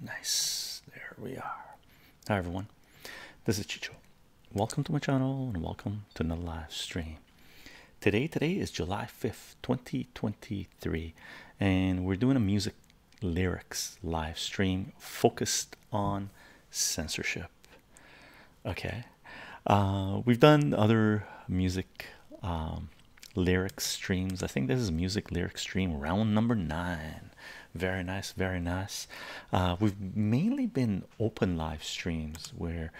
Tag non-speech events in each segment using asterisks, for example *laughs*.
Nice, there we are. Hi everyone, this is Chicho. Welcome to my channel and welcome to the live stream. Today, today is July 5th, 2023, and we're doing a music lyrics live stream focused on censorship. Okay, uh, we've done other music um, lyric streams. I think this is music lyric stream round number nine. Very nice, very nice. Uh, we've mainly been open live streams where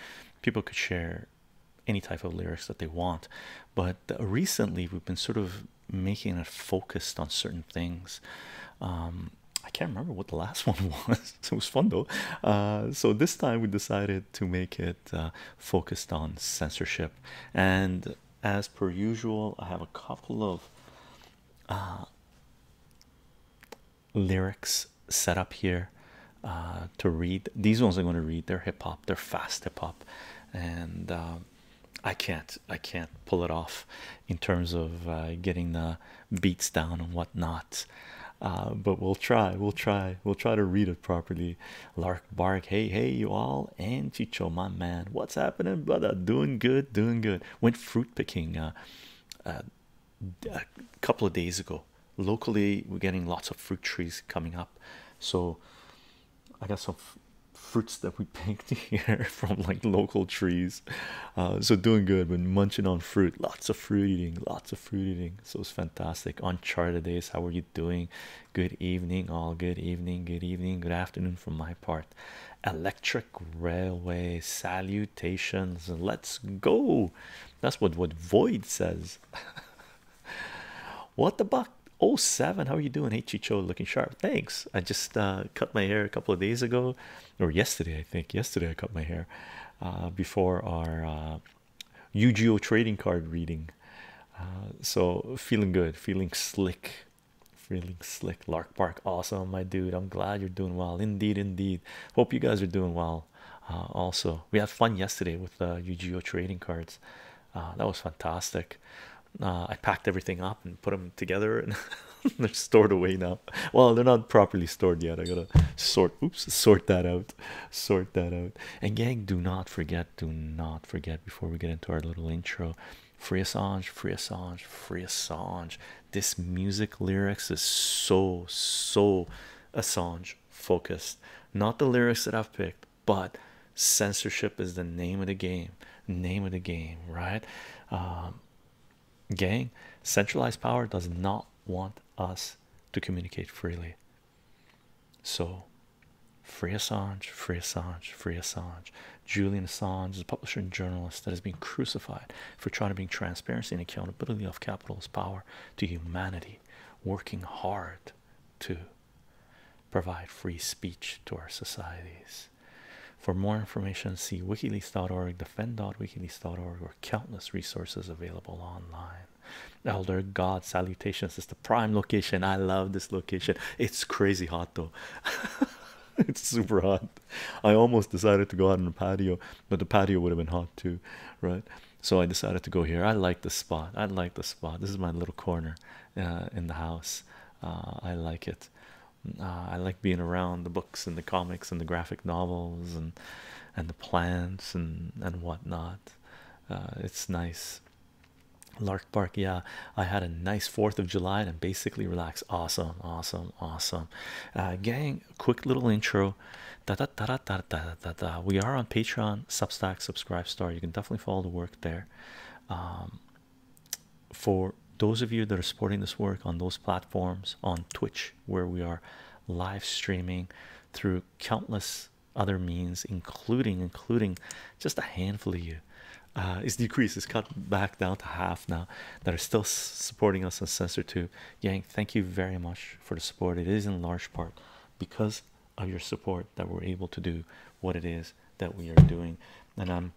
people could share any type of lyrics that they want, but recently we've been sort of making it focused on certain things. Um, I can't remember what the last *laughs* one was. it was fun though. Uh, so this time we decided to make it uh, focused on censorship. And as per usual, I have a couple of uh, lyrics set up here uh, to read. These ones I'm going to read. They're hip hop. They're fast hip hop, and I can't. I can't pull it off in terms of getting the beats down and whatnot. but we'll try. We'll try. We'll try to read it properly Lark Bark, hey, hey, you all, and Chicho, my man, what's happening, brother? Doing good, doing good. Went fruit picking uh, uh, a couple of days ago. Locally, we're getting lots of fruit trees coming up, so I got some fruits that we *laughs* picked here *laughs* from like local trees. Uh, so doing good, when munching on fruit, lots of fruit eating, lots of fruit eating. So it's fantastic. Uncharted days, how are you doing? Good evening, all. Good evening, good evening, good afternoon from my part. Electric railway salutations. Let's go. That's what what Void says. *laughs* what the buck? Oh seven. How are you doing? Hey looking sharp. Thanks. I just uh, cut my hair a couple of days ago, or yesterday I think. Yesterday I cut my hair uh, before our uh, yu UGO trading card reading. Uh, so feeling good, feeling slick, feeling slick. Lark Park, awesome, my dude. I'm glad you're doing well. Indeed, indeed. Hope you guys are doing well. Uh, also, we had fun yesterday with uh, UGO trading cards. Uh, that was fantastic. I packed everything up and put them together, and *laughs* they're stored away now. Well, they're not properly stored yet. I gotta sort. Oops, sort that out. *laughs* sort that out. And gang, do not forget, do not forget before we get into our little intro. Free Assange, free Assange, free Assange. This music lyrics is so so Assange focused. Not the lyrics that I've picked, but censorship is the name of the game. Name of the game, right? Um, gang, centralized power does not want us to communicate freely. So, free Assange, free Assange, free Assange. Julian Assange is a publisher and journalist that has been crucified for trying to bring transparency and accountability of capital's power to humanity, working hard to provide free speech to our societies. For more information, see wikileaks.org, defend.wikileaks.org, or countless resources available online elder god salutations is the prime location i love this location it's crazy hot though *laughs* it's super hot i almost decided to go out on the patio but the patio would have been hot too right so i decided to go here i like the spot i like the spot this is my little corner uh, in the house uh, i like it uh, i like being around the books and the comics and the graphic novels and and the plants and and whatnot it's nice Lark Park, yeah, I had a nice 4th of July and basically relaxed. Awesome, awesome, awesome. Uh, gang, quick little intro. Da, da, da, da, da, da, da, We are on Patreon, Substack, Subscribe Star. You can definitely follow the work there. Um, for those of you that are supporting this work on those platforms, on Twitch, where we are live streaming through countless other means including including just a handful of you uh it's decreased it's cut back down to half now that are still supporting us on sensor 2 yang thank you very much for the support it is in large part because of your support that we're able to do what it is that we are doing and i'm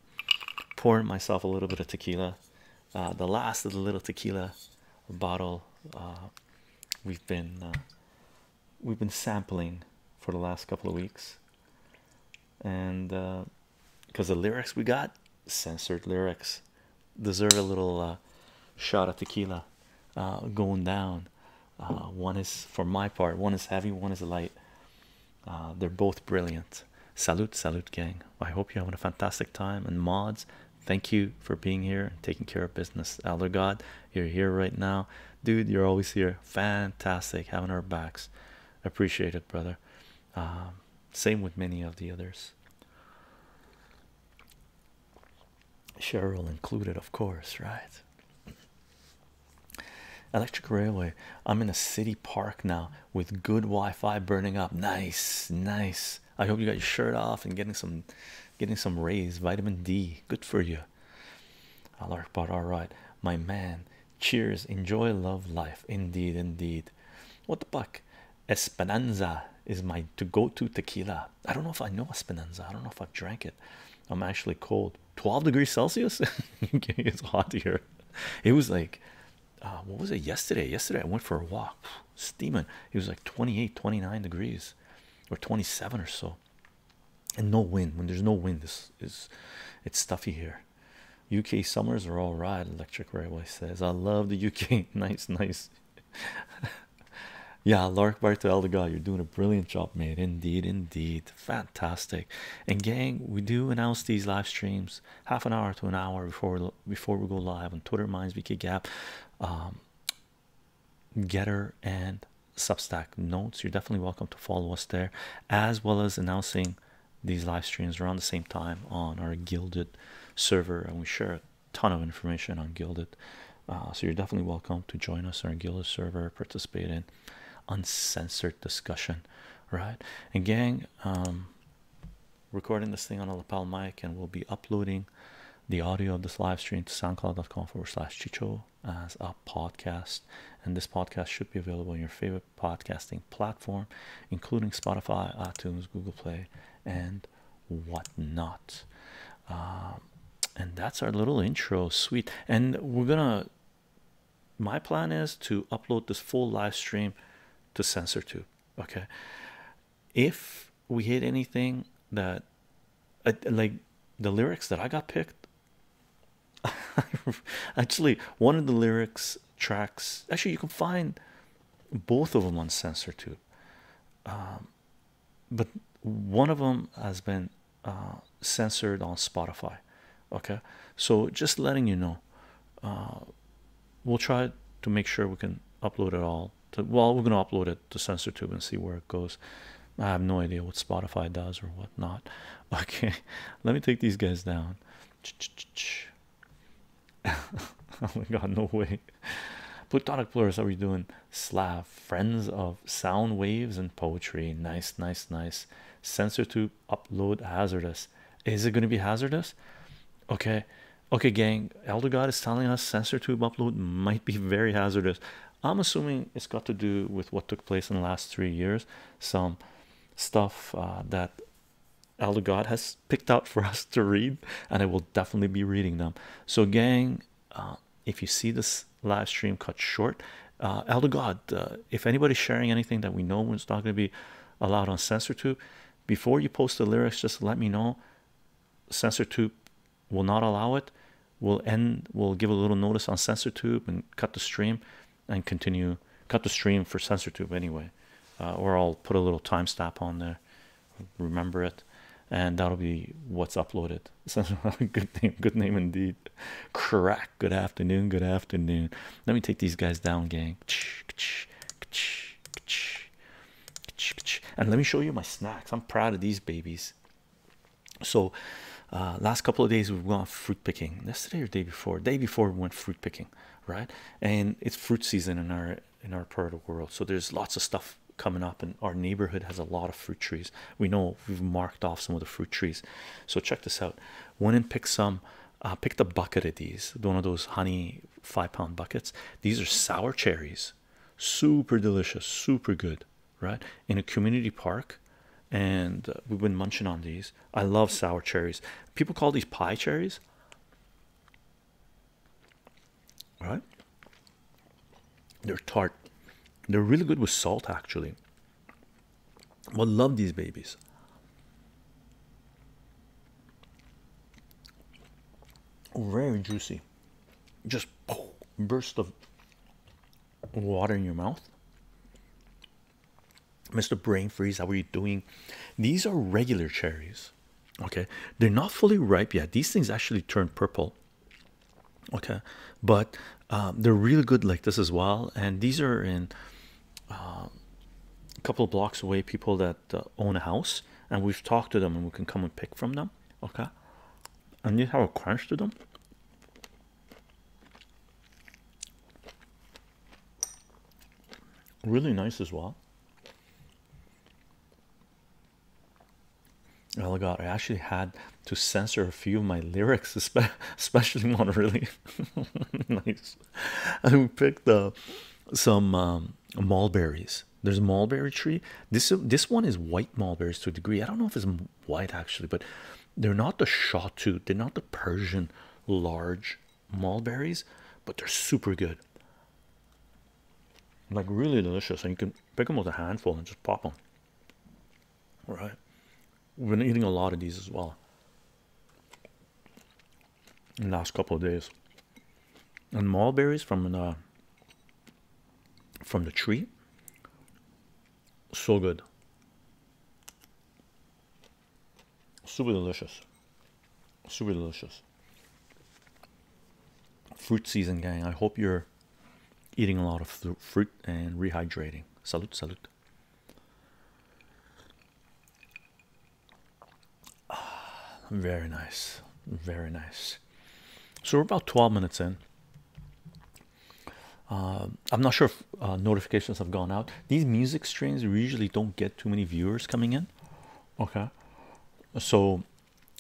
pouring myself a little bit of tequila uh, the last of the little tequila bottle uh, we've been uh, we've been sampling for the last couple of weeks, and because uh, the lyrics we got censored lyrics deserve a little uh, shot of tequila uh, going down. one is for my part, one is heavy, one is light. they're both brilliant. Salute, salute, gang. I hope you're having a fantastic time. And mods, thank you for being here and taking care of business. Elder God, you're here right now dude you're always here fantastic having our backs appreciate it brother um, same with many of the others cheryl included of course right electric railway i'm in a city park now with good wi-fi burning up nice nice i hope you got your shirt off and getting some getting some rays vitamin d good for you you. all right, my man. Cheers, enjoy, love life. Indeed, indeed. What the fuck? Esperanza is my to go to tequila. I don't know if I know Esperanza, I don't know if i drank it. I'm actually cold 12 degrees Celsius. *laughs* it's hot here. It was like, uh, what was it yesterday? Yesterday, I went for a walk, steaming. It was like 28, 29 degrees or 27 or so and no wind when there's no wind this is it's stuffy here uk summers are all right electric railway says i love the uk *laughs* nice nice *laughs* yeah lark by to elder you're doing a brilliant job mate indeed indeed fantastic and gang we do announce these live streams half an hour to an hour before before we go live on twitter minds vk gap um, Getter and Substack notes. You're definitely welcome to follow us there, as well as announcing these live streams around the same time on our Gilded server, and we share a ton of information on Gilded. Uh, so you're definitely welcome to join us on our Gilded server, participate in uncensored discussion, right? And gang, um, recording this thing on a lapel mic, and we'll be uploading the audio of this live stream to soundcloud.com forward slash chicho as a podcast, and this podcast should be available on your favorite podcasting platform, including Spotify, iTunes, Google Play, and whatnot. Um, and that's our little intro, sweet. And we're gonna. My plan is to upload this full live stream to SensorTube. Okay, if we hit anything that, uh, like the lyrics that I got picked *laughs* actually, one of the lyrics tracks actually, you can find both of them on SensorTube, um, but one of them has been uh, censored on Spotify. Okay, so just letting you know, uh, we'll try to make sure we can upload it all. well, we're gonna upload it to SensorTube and see where it goes. I have no idea what Spotify does or whatnot. *laughs* Okay, let me take these guys down. *laughs* oh my god, no way. Plutonic Plurus, how are we doing? Slav, friends of sound waves and poetry. Nice, nice, nice. Sensor tube upload hazardous. Is it going to be hazardous? Okay, okay, gang. Elder God is telling us sensor tube upload might be very hazardous. I'm assuming it's got to do with what took place in the last three years, some stuff uh, that Elder God has picked out for *laughs* us to read, and I will definitely be reading them. So, gang, uh, if you see this live stream cut short, uh, Elder God, uh, if anybody's sharing anything that we know is not going to be allowed on CensorTube, before you post the lyrics, just let me know. CensorTube will not allow it we'll end we'll give a little notice on sensor tube and cut the stream and continue cut the stream for sensor tube anyway uh, or I'll put a little time stamp on there remember it and that'll be what's uploaded *laughs* good name good name indeed crack good afternoon good afternoon let me take these guys down gang and let me show you my snacks I'm proud of these babies so, uh, last couple of days we've gone fruit picking. Yesterday or day before, day before we went fruit picking, right? And it's fruit season in our in our part of the world, so there's lots of stuff coming up, and our neighborhood has a lot of fruit trees. We know we've marked off some of the fruit trees, so check this out. Went and picked some. Uh, picked a bucket of these, one of those honey five pound buckets. These are sour cherries, super delicious, super good right in a community park and uh, we've been munching on these i love sour cherries people call these pie cherries right they're tart they're really good with salt actually But love these babies very juicy just burst of water in your mouth. Mr. Brain Freeze, how are you doing? These are regular cherries. Okay, they're not fully ripe yet. These things actually turn purple. Okay, but um, they're really good like this as well. And these are in uh, a couple blocks away. People that uh, own a house, and we've talked to them, and we can come and pick from them. Okay, and you have a crunch to them. Really nice as well. Oh god, I actually had to censor a few of my lyrics, *laughs* especially one really *laughs* nice. And we picked uh, some um, mulberries. There's a mulberry tree. This this one is white mulberries to a degree. I don't know if it's white actually, but they're not the shot tooth, they're not the Persian large mulberries, but they're super good. Like really delicious, and you can pick them with a handful and just pop them. All right, we've been eating a lot of these as well in the last couple of days. And mulberries from the from the tree so good. Super delicious. Super delicious. Fruit season, gang. I hope you're eating a lot of fruit and rehydrating. Salute, salute. Ah, very nice. Very nice. So we're about 12 minutes in. Uh, I'm not sure uh, notifications have gone out. These music streams usually don't get too many viewers coming in. Okay, so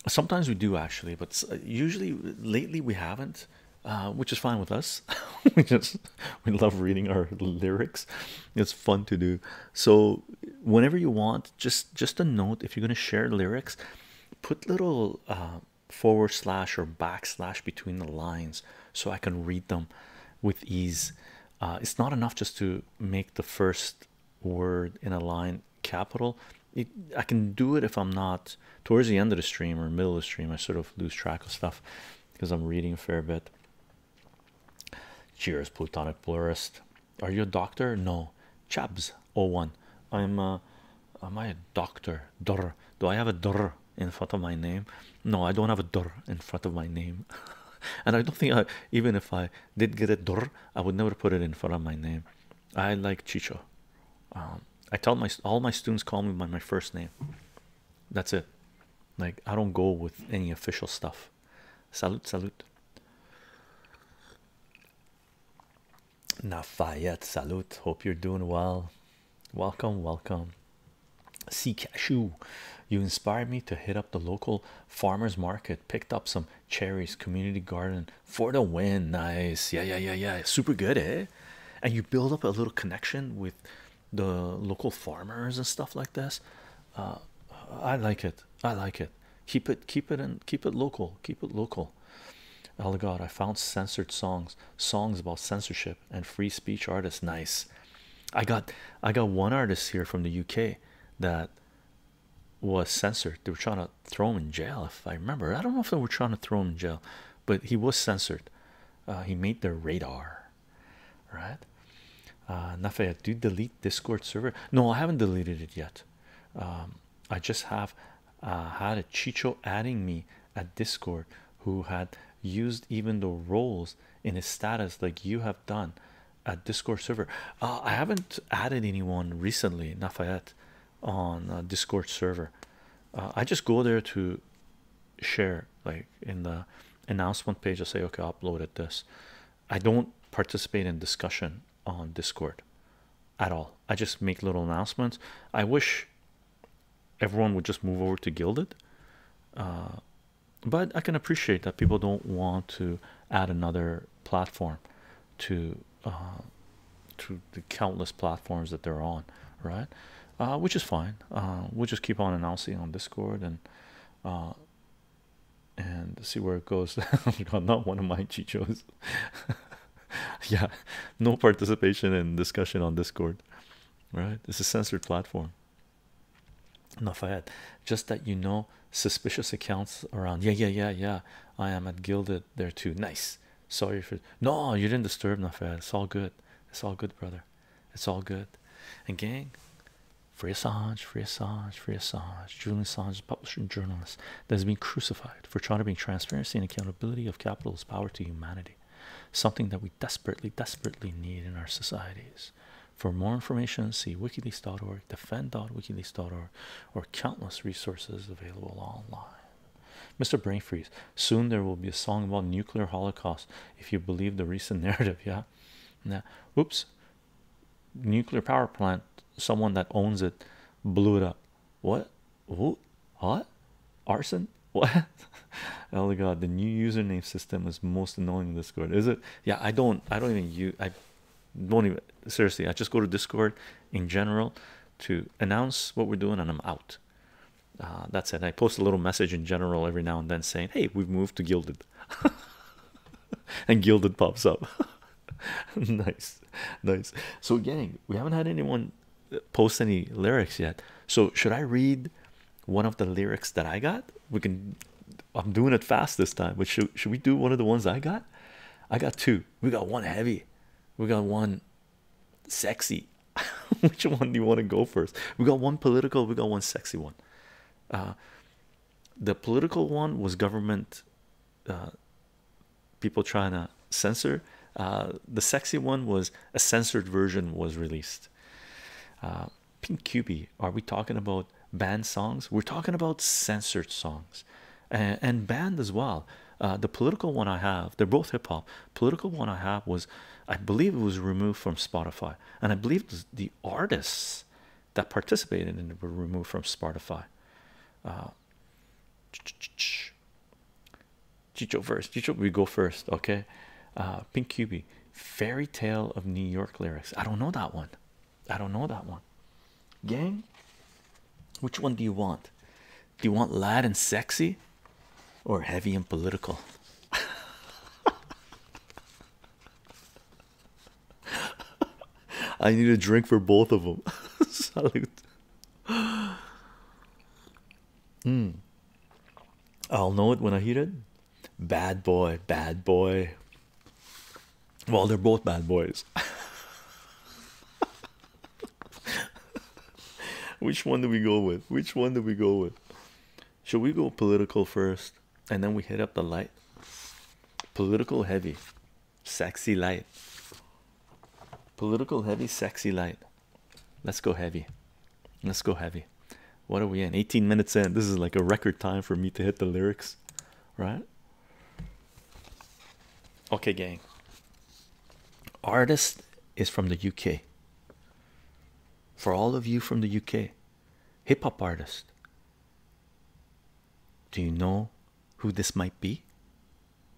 sometimes we do actually, but usually lately we haven't, uh, which is fine with us. *laughs* we just we love reading our lyrics. It's fun to do. So whenever you want, just just a note. If you're gonna share lyrics, put little forward slash or backslash between the lines so I can read them with ease. Uh, it's not enough just to make the first word in a line capital. It, I can do it if I'm not towards the end of the stream or middle of the stream. I sort of lose track of stuff because I'm reading a fair bit. Cheers, Plutonic Plurist. Are you a doctor? No. Chabs 01. I'm uh, am I a doctor? Do I have a durr in front of my name? No, I don't have a durr in front of my name. *laughs* and I don't think I, even if I did get a durr, I would never put it in front of my name. I like Chicho. Um, I tell my all my students call me by my first name. That's it. Like I don't go with any official stuff. Salute, salute. Nafayette, salute. Hope you're doing well. Welcome, welcome. See cashew. You inspired me to hit up the local farmers market, picked up some cherries, community garden for the win. Nice. Yeah, yeah, yeah, yeah. Super good, eh? And you build up a little connection with the local farmers and stuff like this. Uh, I like it. I like it. Keep it keep it and keep it local. Keep it local. Oh God, I found censored songs, songs about censorship and free speech artists. Nice. I got I got one artist here from the UK that was censored. They were trying to throw him in jail, if I remember. I don't know if they were trying to throw him in jail, but he was censored. Uh, he made their radar, right? Uh, Nafea, do delete Discord server? No, I haven't deleted it yet. Um, I just have uh, had a Chicho adding me at Discord who had used even the roles in his status like you have done at discord server uh, i haven't added anyone recently nafayette on uh, discord server uh, i just go there to share like in the announcement page i say okay I uploaded this i don't participate in discussion on discord at all i just make little announcements i wish everyone would just move over to gilded uh, but i can appreciate that people don't want to add another platform to uh, to the countless platforms that they're on right uh, which is fine we'll just keep on announcing on discord and and see where it goes *laughs* not one of my chichos *laughs* yeah no participation in discussion on discord right? it's a censored platform. Enough ahead. Just that you know suspicious accounts around. Yeah, yeah, yeah, yeah. I am at Gilded there too. Nice. Sorry for no, you didn't disturb enough. It's all good. It's all good, brother. It's all good. And gang, free Assange, free Julian Assange publisher and journalist that has been crucified for trying to bring transparency and accountability of capital's power to humanity something that we desperately, desperately need in our societies. For more information, see wikileaks.org, defend.wikileaks.org, or countless resources available online. Mr. Brainfreeze, soon there will be a song about nuclear holocaust if you believe the recent *laughs* narrative. Yeah, now, Oops, nuclear power plant, someone that owns it blew it up. What? Oh, What? arson? *laughs* What? oh my god, the new username system is most annoying in Discord. Is it? Yeah, I don't. I don't even use. I don't even. Seriously, I just go to Discord in general to announce what we're doing, and I'm out. Uh, that's it. I post a little message in general every now and then saying, "Hey, we've moved to Gilded," *laughs* and Gilded pops up. *laughs* nice, nice. So, gang, we haven't had anyone post any lyrics yet. So should I read one of the lyrics that I got? We can. I'm doing it fast this time. But should should we do one of the ones I got? I got two. We got one heavy. We got one sexy. *laughs* Which one do you want to go first? We got one political. We got one sexy one. Uh, the political one was government uh, people trying to censor uh, the sexy one was a censored version was released. Uh, Pink QB, are we talking about banned songs? We're talking about censored songs and, and banned as well. Uh, the political one I have, they're both hip hop. Political one I have was, I believe it was removed from Spotify, and I believe the artists that participated in it were removed from Spotify. Chicho first. Chicho, we go first, okay? Uh, Pink QB, Fairy Tale of New York lyrics. I don't know that one. I don't know that one. Gang, which one do you want? Do you want lad and sexy, or heavy and political? *laughs* I need a drink for both of them. *laughs* Hmm. I'll know it when I hear it. Bad boy, bad boy. Well, they're both bad boys. *laughs* Which one do we go with? Which one do we go with? Should we go political first and then we hit up the light? Political heavy, sexy light. Political heavy, sexy light. Let's go heavy. Let's go heavy. What are we in? 18 minutes in. This is like a record time for me to hit the lyrics, right? Okay, gang. Artist is from the UK. For all of you from the UK, hip hop artist. Do you know who this might be?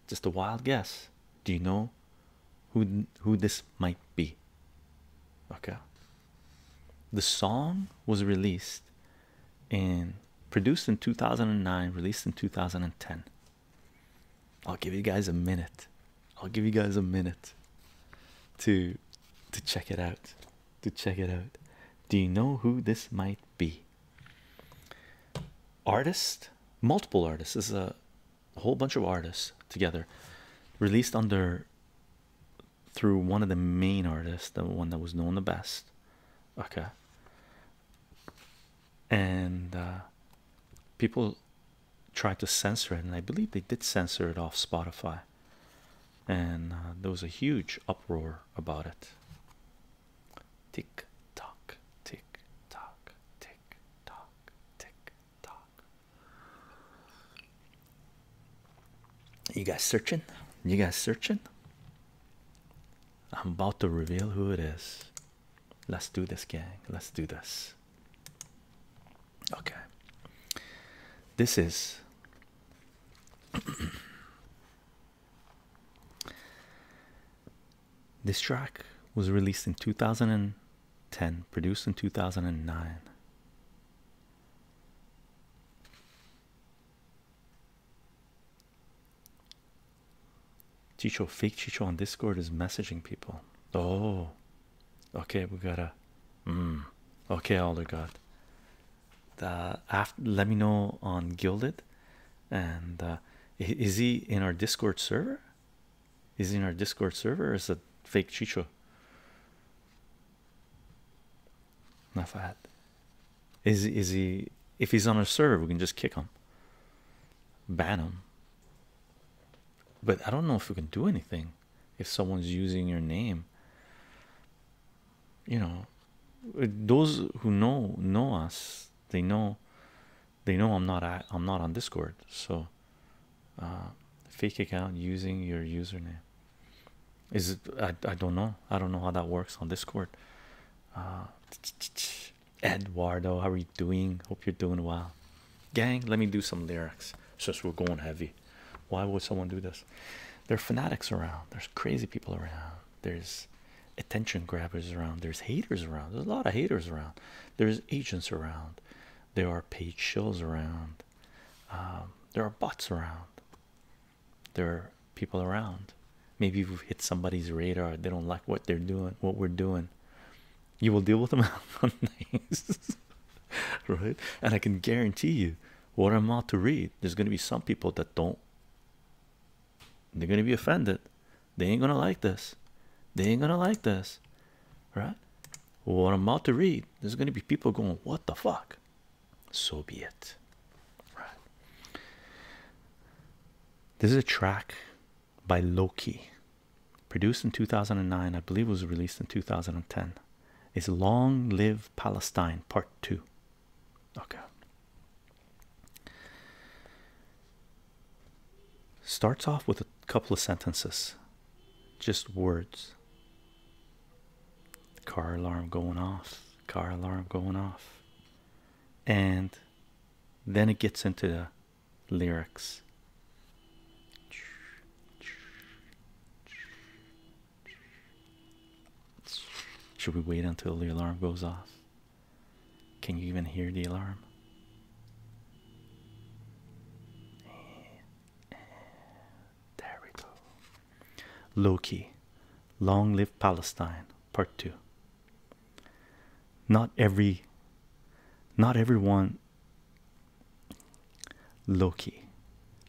Just a wild guess. Do you know who who this might be okay the song was released and produced in 2009 released in 2010 i'll give you guys a minute i'll give you guys a minute to to check it out to check it out do you know who this might be artist multiple artists is a a whole bunch of artists together released under through one of the main artists the one that was known the best okay and uh, people tried to censor it and i believe they did censor it off spotify and uh, there was a huge uproar about it tick tock tick tock tick tock tick tock you guys searching? You guys searching? I'm about to reveal who it is. Let's do this, gang. Let's do this. Okay. This is *clears throat* this track was released in 2000 and 10 produced in 2009 Chicho fake Chicho on Discord is messaging people. Oh, okay, we gotta. Mm, okay, Alder God. Uh, after, let me know on Gilded, and uh, is he in our Discord server? Is he in our Discord server or is it fake Chicho? Not Is is he if he's on our server we can just kick him. Ban him. But I don't know if we can do anything if someone's using your name. You know uh, those who know know us they know they know I'm not I'm not on Discord so uh, fake account using your username is it I, I don't know i don't know how that works on discord uh, eduardo how are you doing hope you're doing well gang let me do some lyrics since we're going heavy why would someone do this there are fanatics around there's crazy people around there's attention grabbers around there's haters around there's a lot of haters around there's agents around there are paid shows around. Um, there are bots around. There are people around. Maybe you have hit somebody's radar. They don't like what they're doing, what we're doing. You will deal with them *laughs* on things, *laughs* right? And I can guarantee you, what I'm about to read, there's going to be some people that don't. They're going to be offended. They ain't going to like this. They ain't going to like this, right? what I'm about to read, there's going to be people going, What the fuck? So be it. Right. This is a track by Loki, produced in 2009. I believe it was released in 2010. It's Long Live Palestine, Part 2. Okay. Starts off with a couple of sentences just words. Car alarm going off, car alarm going off, and then it gets into the lyrics. Should we wait until the alarm goes off? Can you even hear the alarm? there we go. Loki, Long Live Palestine, Part Two. Not every, not every everyone. Loki,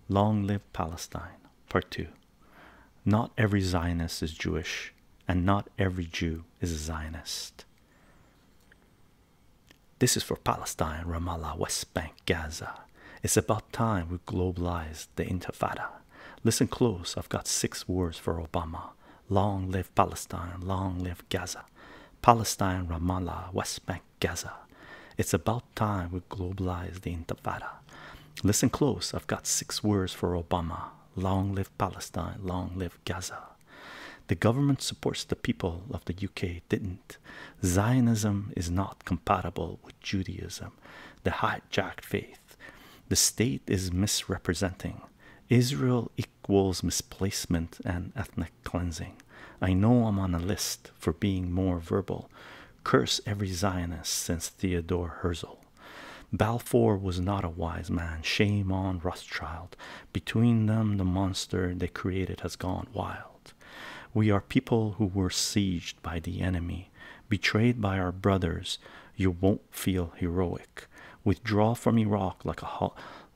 Long Live Palestine, Part Two. Not every Zionist is Jewish, and not every Jew is a Zionist. This is for Palestine, Ramallah, West Bank, Gaza. It's about time we globalized the Intifada. Listen close, I've got six words for Obama. Long live Palestine, long live Gaza. Palestine, Ramallah, West Bank, Gaza. It's about time we globalized the Intifada. Listen close, I've got six words for Obama. Long live Palestine, long live Gaza. The government supports the people of the UK didn't. Zionism is not compatible with Judaism, the hijacked faith. The state is misrepresenting. Israel equals misplacement and ethnic cleansing. I know I'm on a list for being more verbal. Curse every Zionist since Theodore Herzl. Balfour was not a wise man. Shame on Rothschild. Between them, the monster they created has gone wild. We are people who were sieged by the enemy, betrayed by our brothers. You won't feel heroic. Withdraw from Iraq like a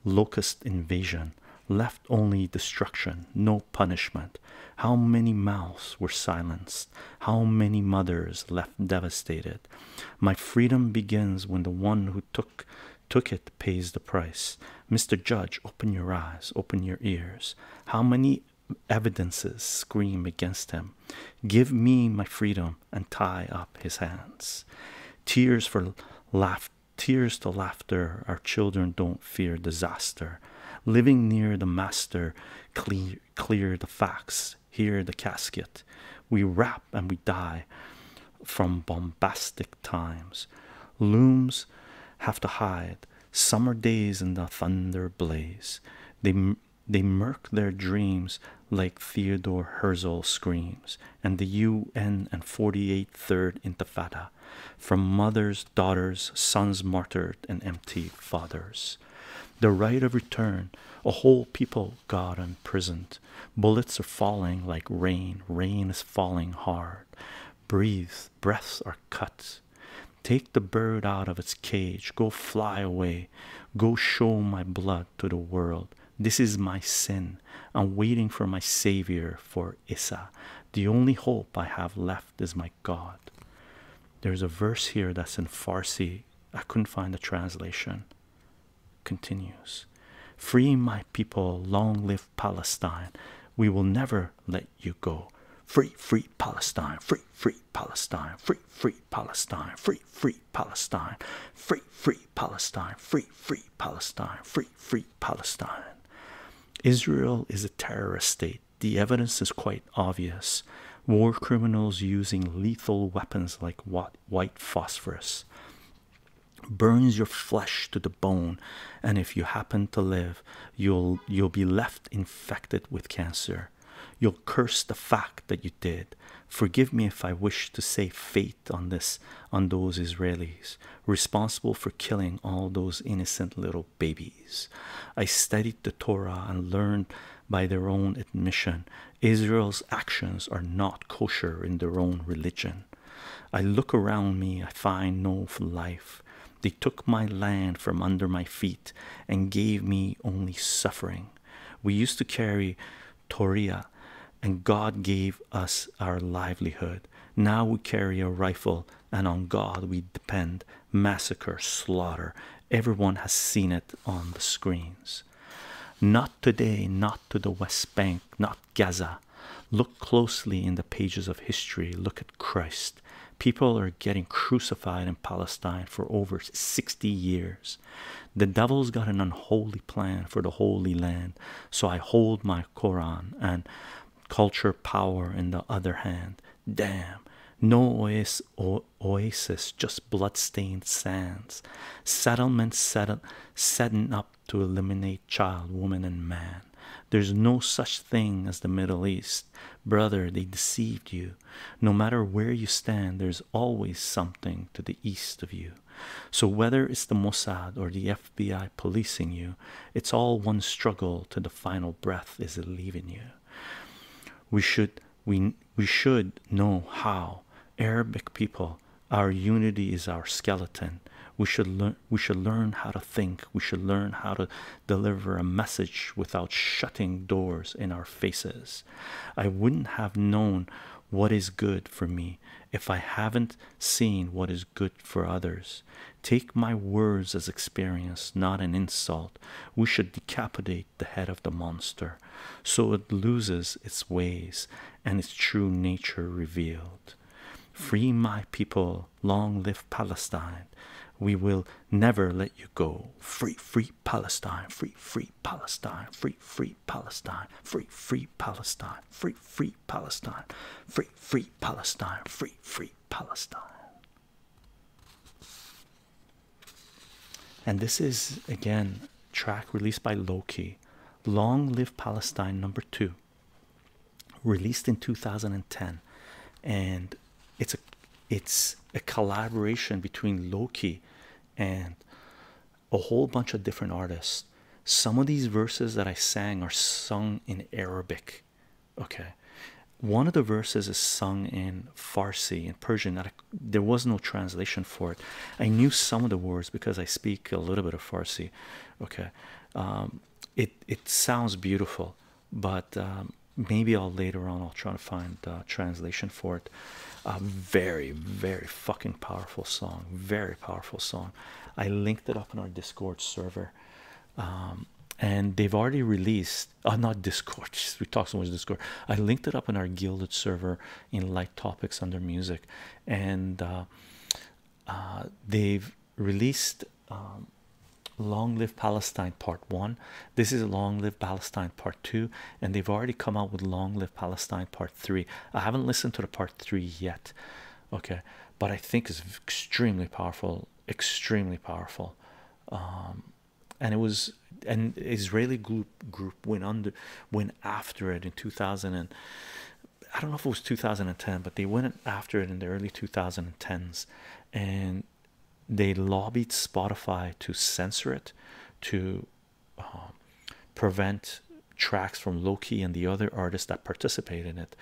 locust invasion, left only destruction, no punishment. How many mouths were silenced? How many mothers left devastated? My freedom begins when the one who took took it pays the price. Mr. Judge, open your eyes, open your ears. How many evidences scream against him? Give me my freedom and tie up his hands. Tears for laugh tears to laughter. Our children don't fear disaster. Living near the master, clear clear the facts. Here the casket. We rap and we die from bombastic times. Looms have to hide. Summer days in the thunder blaze. They they murk their dreams like Theodore Herzl screams, and the UN and 48 Intifada, from mothers, daughters, sons martyred, and empty fathers. The right of return, a whole people God imprisoned. Bullets are falling like rain, rain is falling hard. Breathe, breaths are cut take the bird out of its cage go fly away go show my blood to the world this is my sin i'm waiting for my savior for issa the only hope i have left is my god there's a verse here that's in farsi i couldn't find the translation continues free my people long live Palestine. We will never let you go. Free, free Palestine, free, free Palestine, free, free Palestine, free, free Palestine, free, free Palestine, free, free Palestine, free, free Palestine. Israel is a terrorist state. The evidence is quite obvious. War criminals using lethal weapons like white phosphorus burns your flesh to the bone and if you happen to live you'll you'll be left infected with cancer you'll curse the fact that you did forgive me if i wish to say fate on this on those israelis responsible for killing all those innocent little babies i studied the torah and learned by their own admission israel's actions are not kosher in their own religion I look around me, I find no life. They took my land from under my feet and gave me only suffering. We used to carry Toria, and God gave us our livelihood. Now we carry a rifle, and on God we depend. Massacre, slaughter. Everyone has seen it on the screens. Not today, not to the West Bank, not Gaza. Look closely in the pages of history. Look at Christ. People are getting crucified in Palestine for over 60 years. The devil's got an unholy plan for the Holy Land. So I hold my Koran and culture power in the other hand. Damn. No oasis, just blood-stained sands. Settlements settin' up to eliminate child, woman, and man. There's no such thing as the Middle East. Brother, they deceived you. No matter where you stand, there's always something to the east of you. So, whether it's the Mossad or the FBI policing you, it's all one struggle to the final breath is leaving you. We should, we, we should know how. Arabic people, our unity is our skeleton we should learn we should learn how to think we should learn how to deliver a message without shutting doors in our faces i wouldn't have known what is good for me if i haven't seen what is good for others take my words as experience not an insult we should decapitate the head of the monster so it loses its ways and its true nature revealed free my people long live Palestine. We will never let you go. Free, free Palestine, free, free Palestine, free, free Palestine, free, free Palestine, free, free Palestine, free, free Palestine, free, free Palestine. And this is again track released by Loki. Long live Palestine number two released in 2010 and it's a it's a collaboration between Loki and a whole bunch of different artists. Some of these verses that I sang are sung in Arabic. Okay, one of the verses is sung in Farsi in Persian. there was no translation for it. I knew some of the words because I speak a little bit of Farsi. Okay, um, it it sounds beautiful, but um, maybe I'll later on I'll try to find translation for it. A very very fucking powerful song, very powerful song. I linked it up in our Discord server, um, and they've already released. Oh, not Discord. *laughs* We talk so much Discord. I linked it up in our Gilded server in Light Topics under Music, and. Uh, uh, they've released um, Long Live Palestine Part 1. This is Long Live Palestine Part 2, and they've already come out with Long Live Palestine Part 3. I haven't listened to the Part 3 yet, okay, but I think it's extremely powerful, extremely powerful. Um, and it was an Israeli group group went under went after it in 2000 and I don't know if it was 2010, but they went after it in the early 2010s and they lobbied Spotify to censor it to um, prevent tracks from Loki and the other artists that participate in it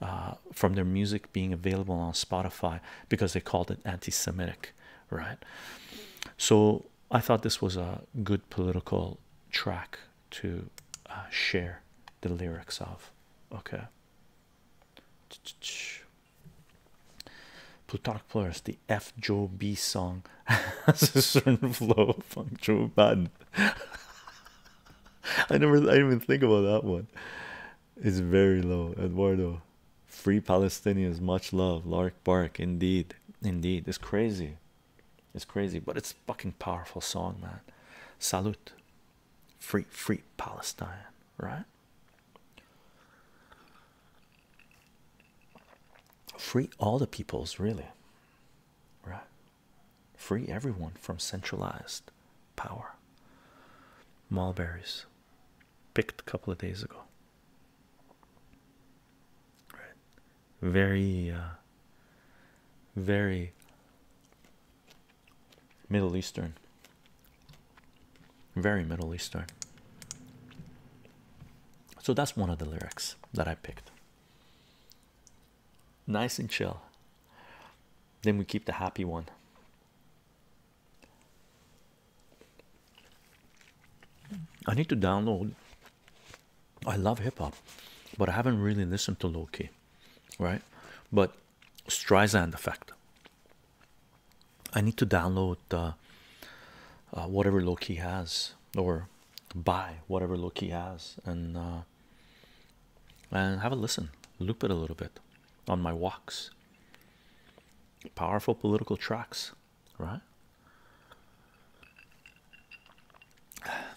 uh, from their music being available on Spotify because they called it anti Semitic, right? So I thought this was a good political track to uh, share the lyrics of. Okay. *tsk* Plutarch Polaris, the F. Joe B song *laughs* has a certain *laughs* flow funk Joe *laughs* I never, I even think about that one. It's very low, Eduardo. Free Palestinians, much love. Lark Bark, indeed, indeed. It's crazy, it's crazy, but it's fucking powerful song, man. Salute, free free Palestine, right? Free all the peoples, really, right? Free everyone from centralized power. Mulberries picked a couple of days ago, right? Very, uh, very Middle Eastern, very Middle Eastern. So that's one of the lyrics that I picked. Nice and chill. Then we keep the happy one. I need to download. I love hip hop, but I haven't really listened to Loki, right? But Streisand effect. I need to download uh, uh, whatever Loki has, or buy whatever Loki has, and uh, and have a listen, loop it a little bit on my walks. Powerful political tracks, right?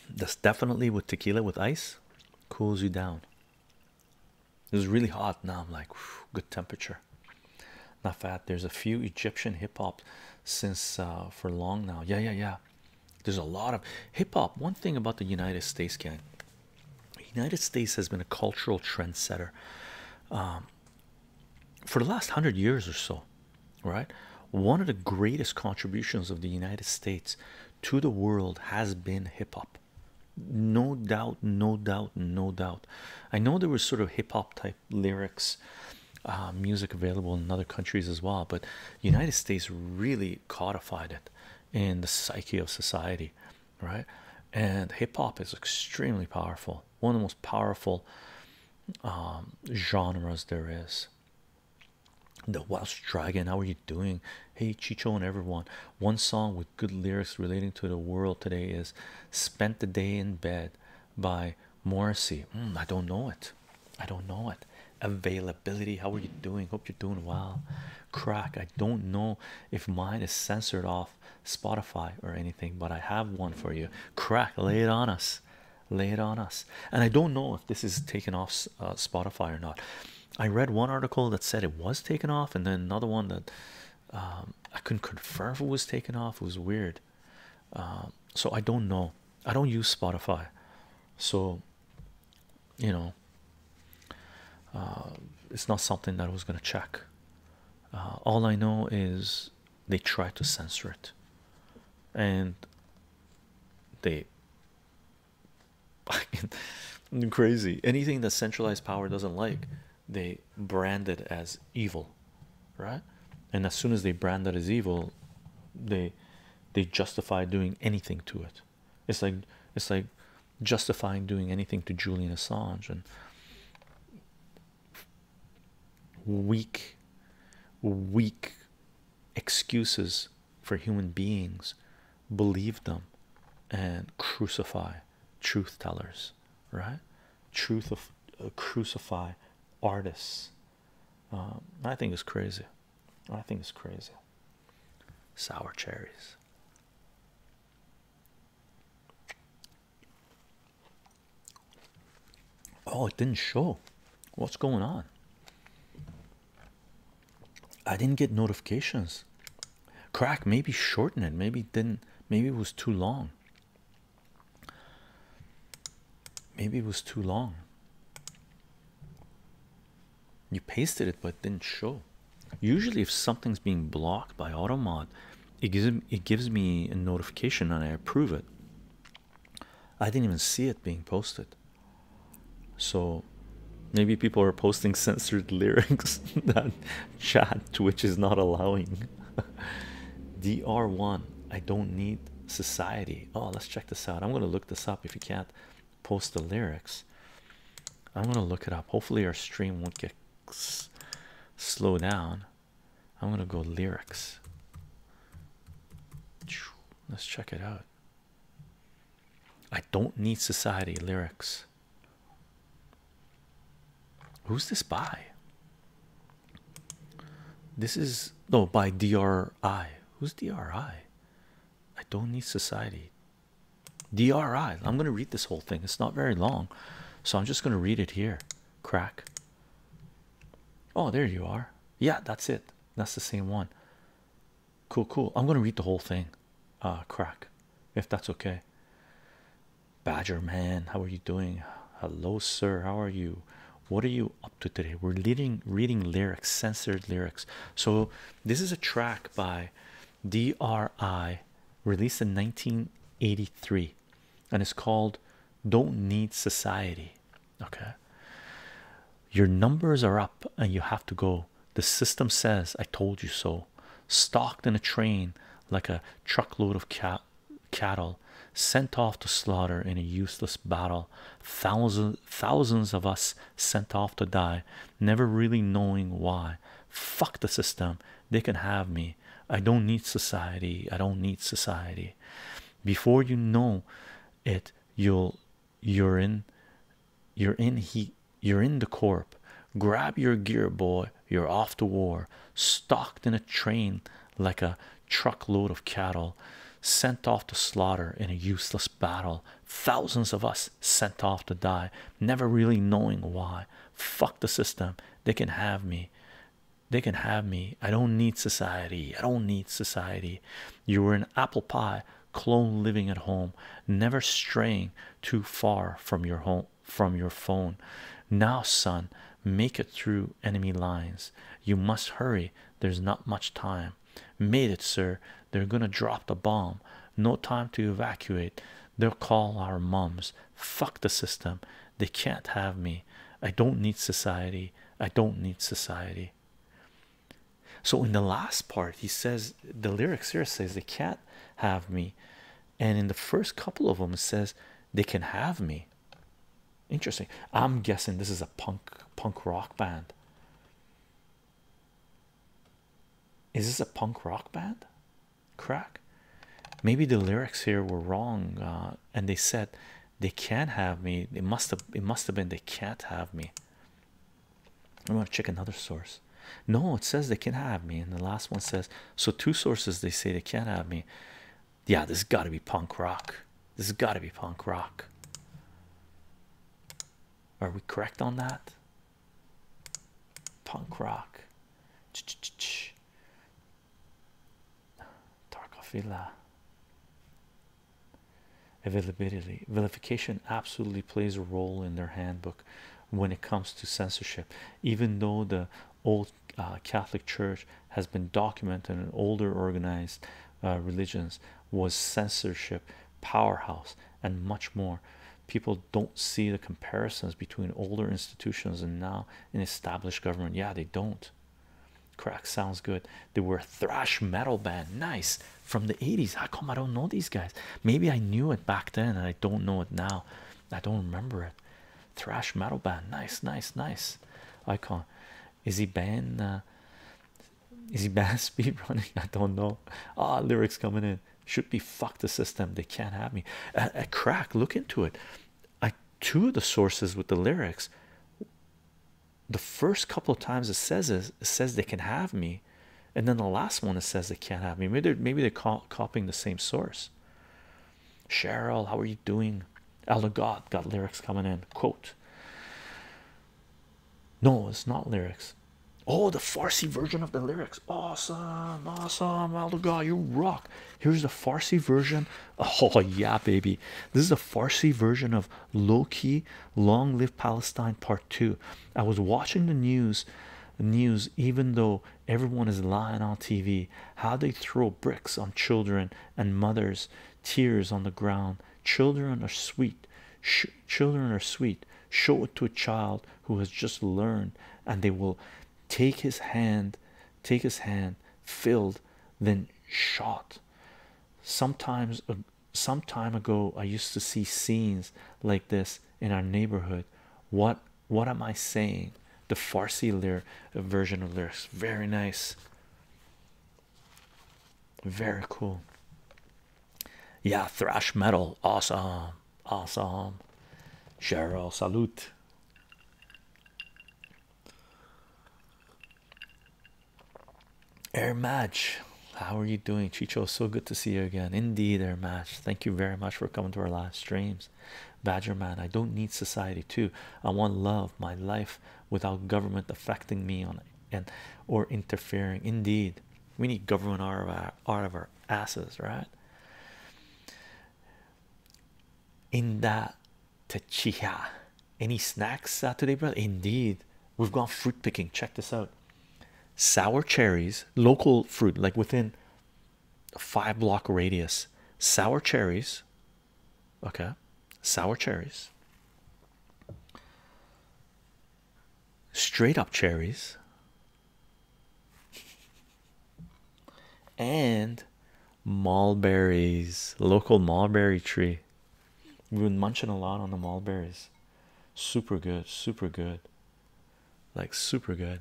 This definitely with tequila with ice, cools you down. It was really hot. Now I'm like, good temperature. Not fat. There's a few Egyptian hip hop since uh, for long now. Yeah, yeah, yeah. There's a lot of hip hop. One thing about the United States, gang. United States has been a cultural trendsetter um, for the last hundred years or so, right? One of the greatest contributions of the United States to the world has been hip hop no doubt no doubt no doubt i know there was sort of hip-hop type lyrics uh, music available in other countries as well but the united states really codified it in the psyche of society right and hip-hop is extremely powerful one of the most powerful um, genres there is the Welsh Dragon, how are you doing? Hey, Chicho, and everyone. One song with good lyrics relating to the world today is Spent the Day in Bed by Morrissey. Hmm, I don't know it, I don't know it. Availability, how are you doing? Hope you're doing well. Crack, I don't know if mine is censored off Spotify or anything, but I have one for you. Crack, lay it on us, lay it on us. And I don't know if this is taken off uh, Spotify or not. I read one article that said it was taken off, and then another one that um, I couldn't confirm if it was taken off. It was weird. Um, so I don't know. I don't use Spotify, so you know, um, it's not something that I was gonna check. Uh, all I know is they tried to censor it, and they crazy anything that centralized power doesn't like they brand it as evil right and as soon as they brand it as evil they they justify doing anything to it it's like it's like justifying doing anything to Julian Assange and weak weak excuses for human beings believe them and crucify truth tellers right truth of uh, crucify artists um, i think it's crazy i think it's crazy sour cherries oh it didn't show what's going on I didn't get notifications. Crack, maybe shorten it. Maybe it didn't. Maybe it was too long. Maybe it was too long. You pasted it, but it didn't show. Usually, if something's being blocked by AutoMod, it gives it gives me a notification and I approve it. I didn't even see it being posted. So maybe people are posting *laughs* censored lyrics *laughs* that chat which is not allowing. *laughs* DR1, I don't need society. Oh, let's check this out. I'm gonna look this up if you can't post the lyrics. I'm gonna look it up. Hopefully, our stream won't get slow down. I'm gonna go lyrics. Let's check it out. I don't need society lyrics. Who's this by? This is no by DRI. Who's DRI? I don't need society. DRI. I'm going to read this whole thing. It's not very long. So I'm just going to read it here. Crack. Oh, there you are. Yeah, that's it. That's the same one. Cool, cool. I'm gonna read the whole thing. ah, crack, if that's okay. Badger man, how are you doing? Hello, sir. How are you? What are you up to today? We're leading reading lyrics, censored lyrics. So this is a track by DRI released in 1983 and it's called Don't Need Society. Okay. Your numbers are up and you have to go. The system says, I told you so. Stalked in a train like a truckload of cat cattle, sent off to slaughter in a useless battle. Thousands, thousands of us sent off to die, never really knowing why. Fuck the system. They can have me. I don't need society. I don't need society. Before you know it, you'll you're in you're in he you're in the corp grab your gear boy you're off to war Stocked in a train like a truckload of cattle sent off to slaughter in a useless battle thousands of us sent off to die never really knowing why fuck the system they can have me they can have me i don't need society i don't need society you were an apple pie clone living at home, never straying too far from your home from your phone. Now, son, make it through enemy lines. You must hurry. There's not much time. Made it, sir. They're gonna drop the bomb. No time to evacuate. They'll call our mums. Fuck the system. They can't have me. I don't need society. I don't need society so in the last part he says the lyrics here says they can't have me and in the first couple of them says they can have me interesting i'm guessing this is a punk punk rock band is this a punk rock band crack maybe the lyrics here were wrong uh, and they said they can't have me it must have it must have been they can't have me I'm gonna check another source. No, it says they can have me, and the last one says so. Two sources they say they can't have me. Yeah, this has got to be punk rock. This has got to be punk rock. Are we correct on that? Punk rock. Ch -ch Availability. Vilification absolutely plays a role in their handbook when it comes to censorship, even though the old uh, Catholic Church has been documented in older organized uh, religions was censorship powerhouse and much more. People don't see the comparisons between older institutions and now an established government. Yeah, they don't. Crack sounds good. They were thrash metal band. Nice from the 80s. How come I don't know these guys? Maybe I knew it back then and I don't know it now. I don't remember it. Thrash metal band, nice, nice, nice. Icon, is he band? Uh, is he banned *laughs* speed running? I don't know. Ah, lyrics coming in should be fuck the system. They can't have me. A, crack, look into it. I two of the sources with the lyrics. The first couple of times it says it says they can have me and then the last one it says they can't have me maybe they're maybe they're copying the same source cheryl how are you doing elder god got lyrics coming in quote no it's not lyrics oh the farsi version of the lyrics awesome awesome elder god you rock here's the farsi version *laughs* oh yeah baby this is a farsi version of low-key long live palestine part two i was watching the news news, even though everyone is lying on TV, how they throw bricks on children and mothers, tears on the ground. Children are sweet, children are sweet. Show it to a child who has just learned, and they will take his hand, take his hand, filled, then shot. Sometimes, uh, some time ago, I used to see scenes like this in our neighborhood what what am i saying the farsi lyric uh, version of lyrics very nice very cool yeah thrash metal awesome awesome cheryl salute air match how are you doing, Chicho? So good to see you again. Indeed, air match. Thank you very much for coming to our live streams. Badger man, I don't need society too. I want love, my life without government affecting me on and or interfering. Indeed, we need government out of our out of our asses, right? In that tachiha. Any snacks today, brother? Indeed, we've gone fruit picking. Check this out sour cherries, local fruit, like within a five block radius, sour cherries, okay, sour cherries, straight up cherries, and mulberries, local mulberry tree. We've been munching a lot on the mulberries. Super good, super good like super good,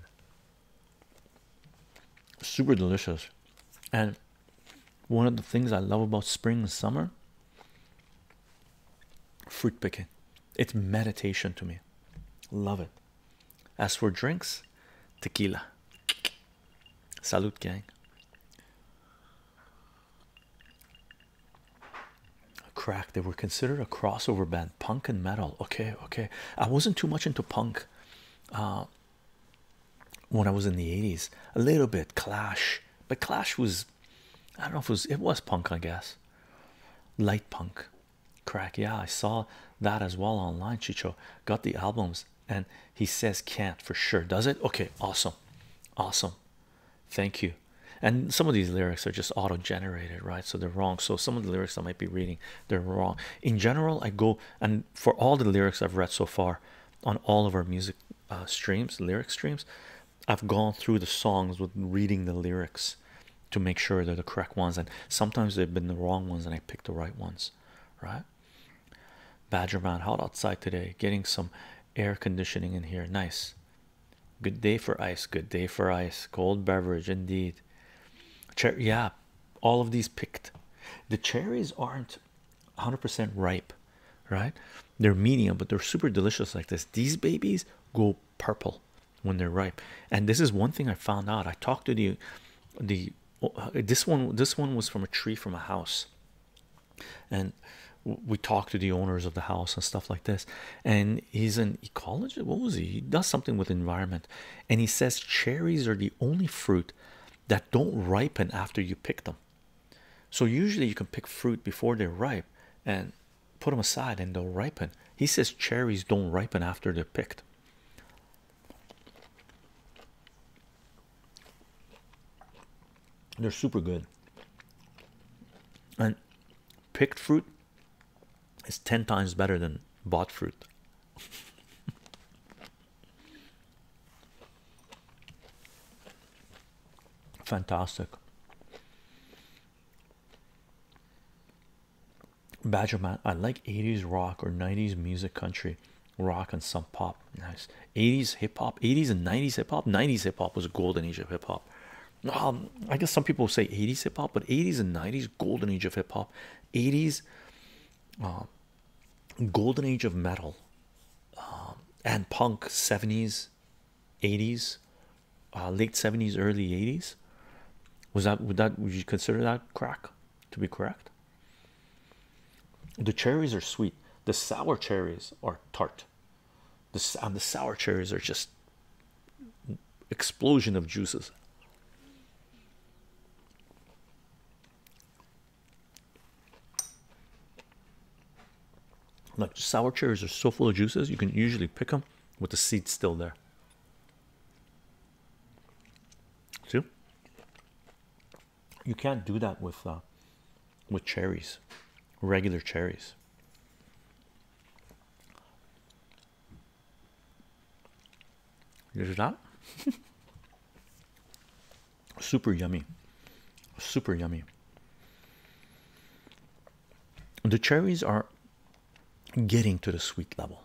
super delicious. And one of the things I love about spring and summer fruit picking, it's meditation to me. Love it. As for drinks, tequila. Salute, gang crack they were considered a crossover band punk and metal okay okay i wasn't too much into punk uh, when i was in the 80s a little bit clash but clash was i don't know if it was it was punk i guess light punk crack yeah i saw that as well online chicho got the albums and he says can't for sure does it okay awesome awesome thank you and some of these lyrics are just auto generated, right? So they're wrong. So some of the lyrics I might be reading, they're wrong. In general, I go and for all the lyrics I've read so far on all of our music uh, streams, lyric streams, I've gone through the songs with reading the lyrics to make sure they're the correct ones. And sometimes they've been the wrong ones and I picked the right ones, right? Badgerman, hot outside today, getting some air conditioning in here. Nice. Good day for ice. Good day for ice. Cold beverage indeed. Cherry, yeah, all of these picked. The cherries aren't 100% ripe, right? They're medium, but they're super delicious like this. These babies go purple when they're ripe, and this is one thing I found out. I talked to the the uh, this one this one was from a tree from a house, and we talked to the owners of the house and stuff like this, and he's an ecologist. What was he? He does something with environment, and he says cherries are the only fruit that don't ripen after you pick them. So usually you can pick fruit before they're ripe and put them aside, and they'll ripen. He says cherries don't ripen after they're picked. They're super good, and picked fruit is 10 times better than bought fruit. *laughs* Fantastic. Badger man, I like 80s rock or 90s music, country rock, and some pop. Nice 80s hip hop, 80s and 90s hip hop. 90s hip hop was golden age of hip hop. Um, i guess some people say 80s hip-hop but 80s and 90s golden age of hip-hop 80s um, golden age of metal um, and punk 70s 80s uh, late 70s early 80s was that would that would you consider that crack to be correct the cherries are sweet the sour cherries are tart the, and the sour cherries are just explosion of juices. Like sour cherries are so full of juices, you can usually pick them with the seeds still there. See, you can't do that with uh, with cherries, regular cherries. There's that. *laughs* Super yummy. Super yummy. The cherries are getting to the sweet level.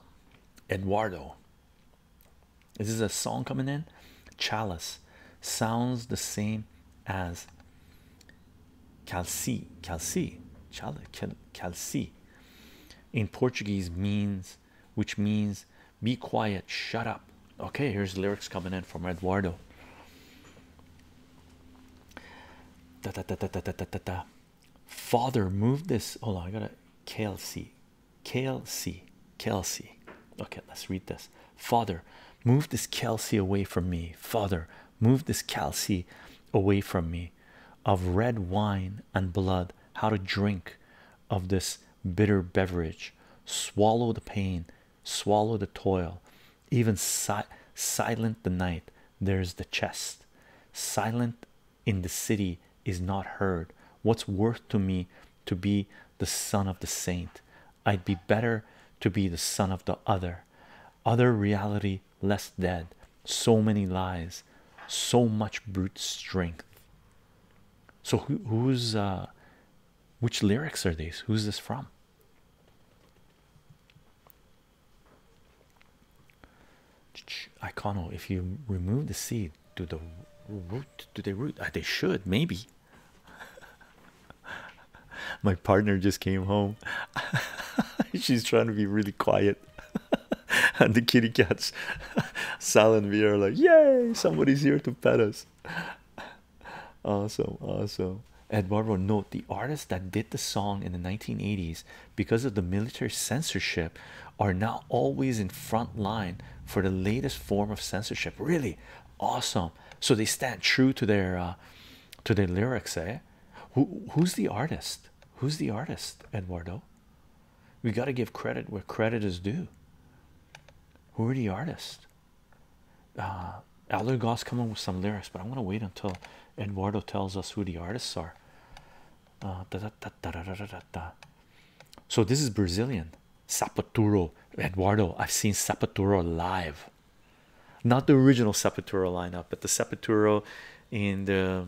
Eduardo. is This a song coming in. Chalice sounds the same as calci, calci, chalice, calci in Portuguese means which means be quiet, shut up. Okay, here's lyrics coming in from Eduardo. Da, da, da, da, da, da, da, da. Father, move this. Hold on, I got a KLC. KLC. Kelsey. Okay, let's read this. Father, move this Kelsey away from me. Father, move this Kelsey away from me of red wine and blood, how to drink of this bitter beverage, swallow the pain, swallow the toil, even silent the night. There's the chest, silent in the city is not heard. What's worth to me to be the son of the saint? I'd be better to be the son of the other. Other reality less dead, so many lies, so much brute strength. So, who's uh, which lyrics are these? Who's this from? Icono, if you remove the seed, do the root do they root? Uh, they should, maybe. *laughs* My partner just came home. *laughs* She's trying to be really quiet. *laughs* and the kitty cats, *laughs* Sal and V like, Yay, somebody's here to pet us. *laughs* Awesome, awesome. Eduardo, note the artists that did the song in the 1980s because of the military censorship are now always in front line for the latest form of censorship. Really awesome. So they stand true to their uh, to their lyrics, eh? Who who's the artist? Who's the artist, Eduardo? We got to give credit where credit is due. Who are the artists? Uh, Allergoss coming with some lyrics, but I am going to wait until Eduardo tells us who the artists are. So this is Brazilian Sapaturo Eduardo. I've seen Sapaturo live, not the original Sapaturo lineup, but the Sapaturo in the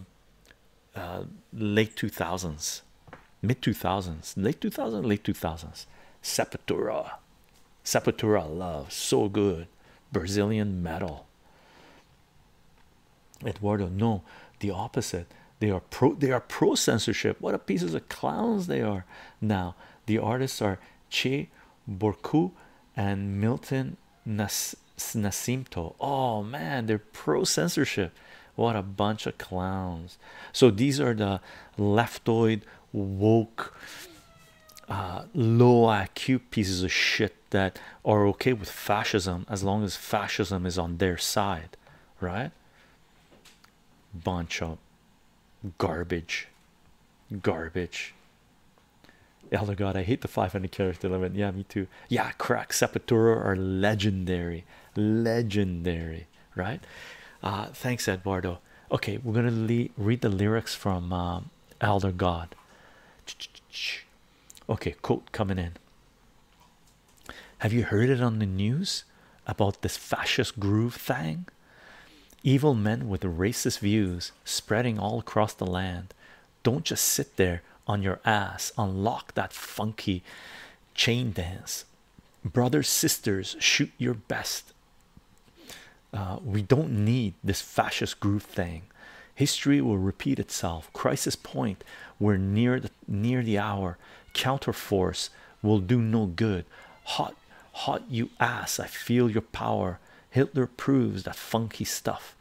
uh, late 2000s, mid 2000s, late two thousands, late 2000s. Sepultura, Sepultura, love so good. Brazilian metal. Eduardo, no, the opposite. They are pro. They are pro censorship. What a pieces of clowns they are now. The artists are Che Borku and Milton Nas Nasimto. Oh man, they're pro censorship. What a bunch of clowns. So these are the leftoid woke uh, low IQ pieces of shit that are okay with fascism as long as fascism is on their side, right? Bunch of garbage, garbage, Elder God, I hate the 500 character limit. Yeah, me too. Yeah, crack Sepultura are legendary, legendary, right? Uh, thanks, Eduardo. Okay, we're gonna read the lyrics from um, Elder God. Okay, quote coming in. Have you heard it on the news about this fascist groove thing? Evil men with racist views spreading all across the land. Don't just sit there on your ass. Unlock that funky chain dance. Brothers, sisters, shoot your best. Uh, we don't need this fascist group thing. History will repeat itself. Crisis point. We're near the near the hour. Counterforce will do no good. Hot, hot, you ass. I feel your power. Hitler proves that funky stuff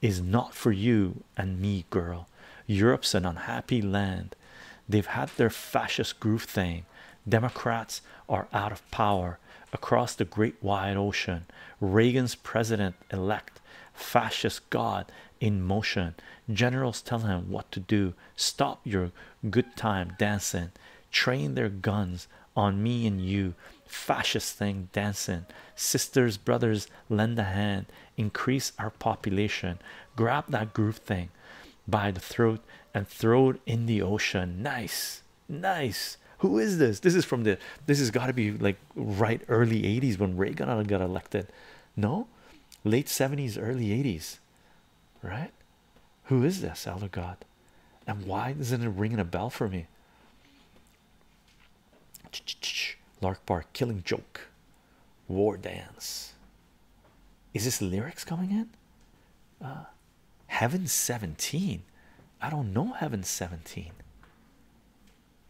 is not for you and me, girl. Europe's an unhappy land. They've had their fascist groove thing. Democrats are out of power across the great wide ocean. Reagan's president elect, fascist god in motion. Generals tell him what to do. Stop your good time dancing. Train their guns on me and you. Fascist thing dancing sisters, brothers, lend a hand, increase our population, grab that groove thing by the throat and throw it in the ocean. Nice, nice. Who is this? This is from the this has got to be like right early 80s when Reagan got elected. No, late 70s, early 80s, right? Who is this, Elder God? And why isn't it ringing a bell for me? Lark Park Killing Joke War Dance. Is this lyrics coming in? Uh, Heaven 17. I don't know Heaven 17.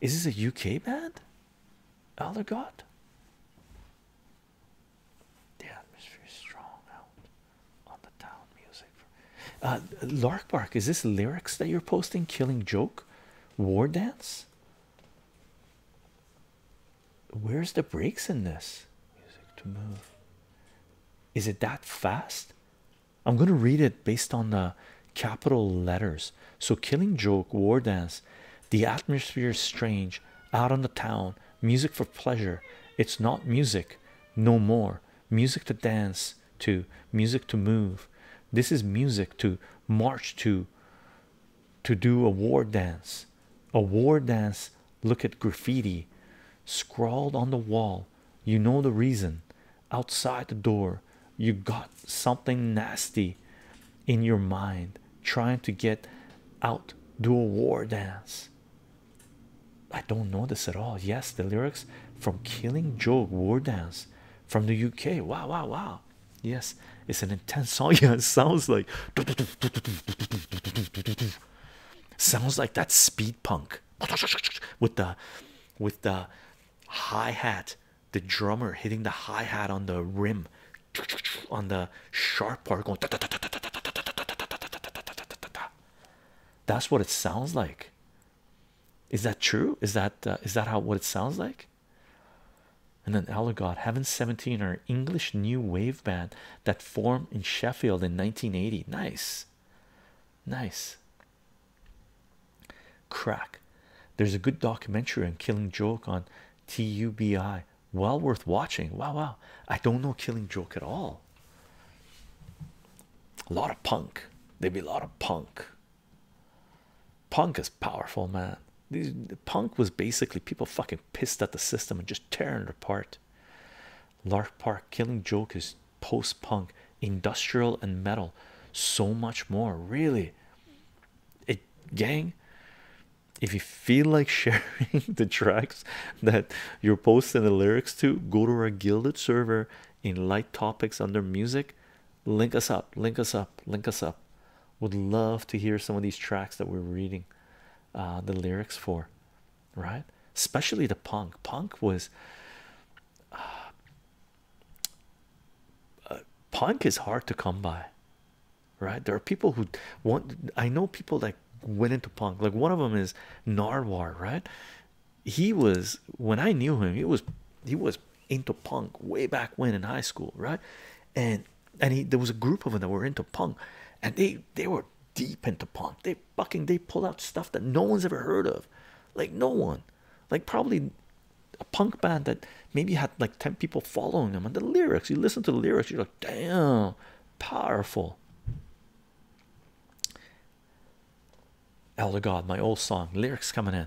Is this a UK band? Elder God? The atmosphere is strong out on the town music. Uh, Lark Bark, is this lyrics that you're posting? Killing Joke? War Dance? Where's the breaks in this? Music to move. Is it that fast? I'm going to read it based on the capital letters. So, Killing Joke, War Dance, the atmosphere is strange, out on the town, music for pleasure. It's not music no more. Music to dance to music to move this is music to march to to do a war dance a war dance look at graffiti scrawled on the wall you know the reason outside the door you got something nasty in your mind trying to get out do a war dance i don't know this at all yes the lyrics from killing Joe war dance from the uk wow wow wow Yes, it's an intense song. *laughs* Yeah, it sounds like sounds like that speed punk with the with the high hat the drummer hitting the high hat on the rim on the sharp part going that's what it sounds like. Is that true? Is that uh, that how what it sounds like? and then Allegod, Heaven 17 our English new wave band that formed in Sheffield in 1980. Nice, nice. Crack. There's a good documentary on Killing Joke on TUBI. Well worth watching. Wow, wow. I don't know Killing Joke at all. A lot of punk. There'd be a lot of punk. Punk is powerful, man. punk was basically people fucking pissed at the system and just tearing it apart. Lark Park, Killing Joke is post punk, industrial and metal, so much more. Really, it gang. If you feel like *laughs* sharing the tracks that you're posting the lyrics to, go to our gilded server in light topics under music link us up link us up link us up would love to hear some of these tracks that we're reading uh, the lyrics for right especially the punk punk was uh, punk is hard to come by right there are people who want i know people that went into punk like one of them is narwhal right he was when i knew him he was he was into punk way back when in high school, right? And and he, there was a group of them that were into punk, and they they were deep into punk. They fucking they pulled out stuff that no one's ever heard of, like no one, like probably a punk band that maybe had like ten people following them. And the lyrics, you listen to the lyrics, you're like, damn, powerful. Elder God, my old song lyrics coming in.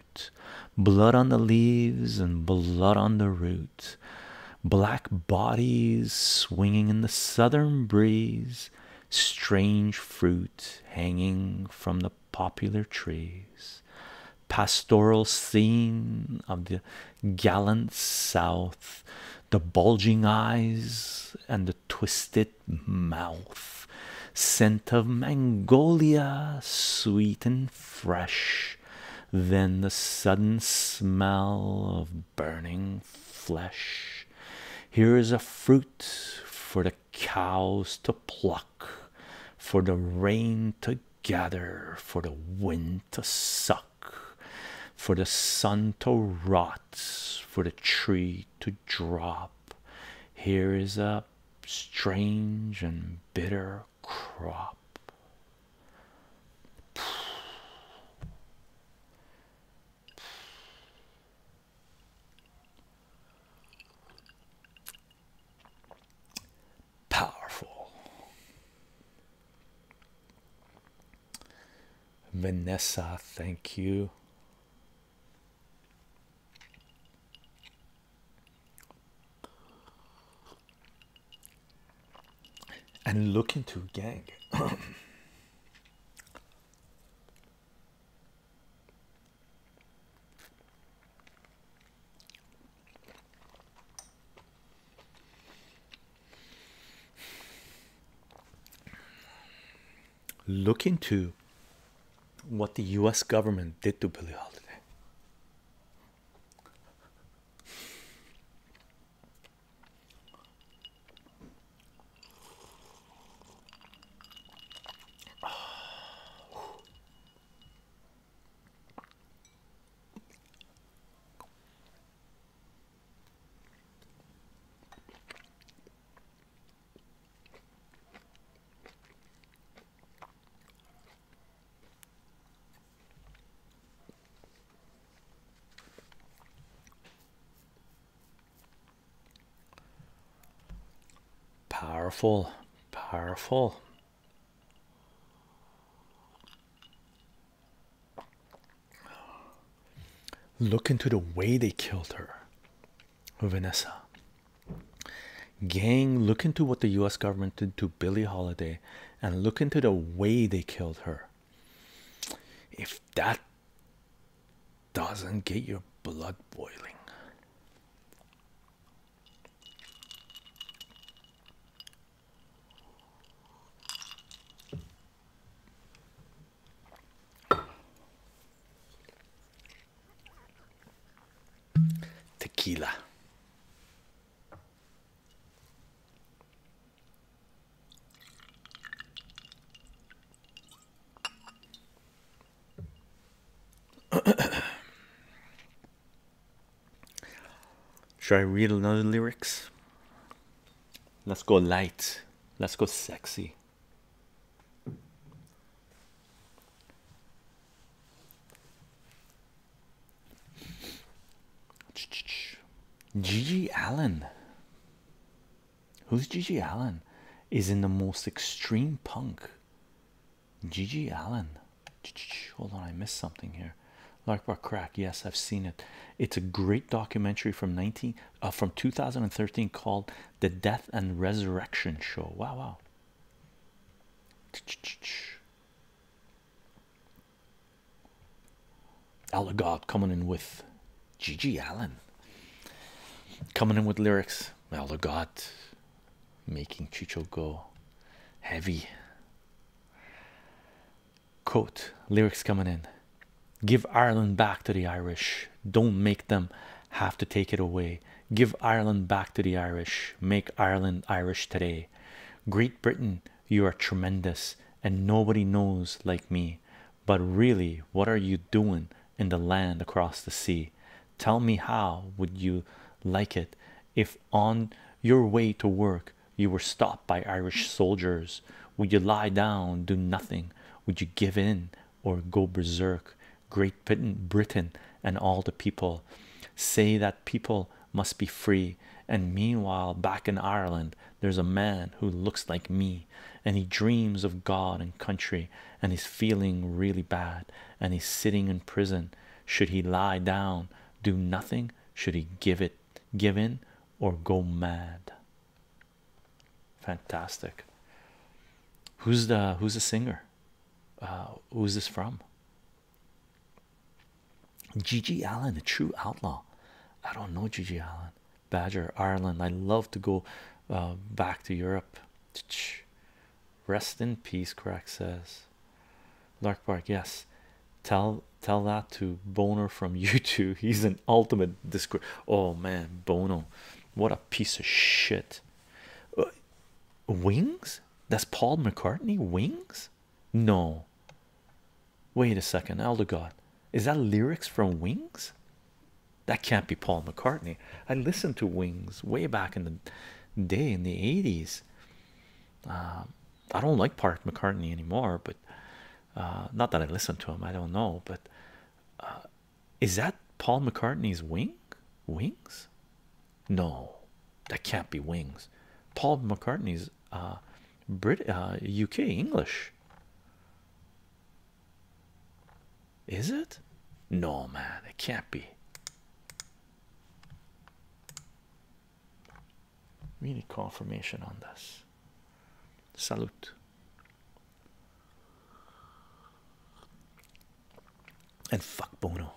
blood on the leaves and blood on the root, black bodies swinging in the southern breeze, strange fruit hanging from the popular trees, pastoral scene of the gallant south, the bulging eyes and the twisted mouth, scent of Mongolia, sweet and fresh. Then the sudden smell of burning flesh. Here is a fruit for the cows to pluck, for the rain to gather, for the wind to suck, for the sun to rot, for the tree to drop. Here is a strange and bitter crop. Powerful Vanessa, thank you and look into gang *coughs* look into what the US government did to Billie Holiday. Powerful, powerful. Look into the way they killed her, Vanessa. Gang, look into what the US government did to Billie Holiday and look into the way they killed her. If that doesn't get your blood boiling. Tequila. *coughs* Should I read another lyrics? Let's go light. Let's go sexy. Gigi Allen. Who's Gigi Allen? Is in the most extreme punk. Gigi Allen. Hold on, I missed something here. Larkbar Crack. Yes, I've seen it. It's a great documentary from 19 uh, from 2013 called The Death and Resurrection Show. Wow, wow. Allegod coming in with Gigi Allen coming in with lyrics. Allegod making Chicho go heavy. Quote lyrics coming in. Give Ireland back to the Irish. Don't make them have to take it away. Give Ireland back to the Irish. Make Ireland Irish today. Great Britain, you are tremendous, and nobody knows like me. But really, what are you doing in the land across the sea? Tell me how would you like it if on your way to work you were stopped by Irish soldiers? Would you lie down, do nothing? Would you give in or go berserk? Great Britain, Britain, and all the people say that people must be free. And meanwhile, back in Ireland, there's a man who looks like me and he dreams of God and country and he's feeling really bad and he's sitting in prison. Should he lie down, do nothing? Should he give it, give in, or go mad? Fantastic. Who's the who's the singer? Uh, who's this from? Gigi Allen, the true outlaw. I don't know Gigi Allen. Badger, Ireland. I love to go uh, back to Europe. Rest in peace, Crack says. Lark Park, yes. Tell tell that to Boner from YouTube. *laughs* He's an ultimate discord. Oh man, Bono, what a piece of shit. Uh, wings? That's Paul McCartney Wings? No. Wait a second, Elder God. Is that lyrics from Wings? That can't be Paul McCartney. I listened to Wings way back in the day in the 80s. Um, I don't like Park McCartney anymore, but uh, not that I listen to him, I don't know. But uh, is that Paul McCartney's Wing? Wings? No, that can't be wings. Paul McCartney's uh, Brit uh, UK English. Is it? No, man, it can't be. We need confirmation on this. Salute and fuck Bono.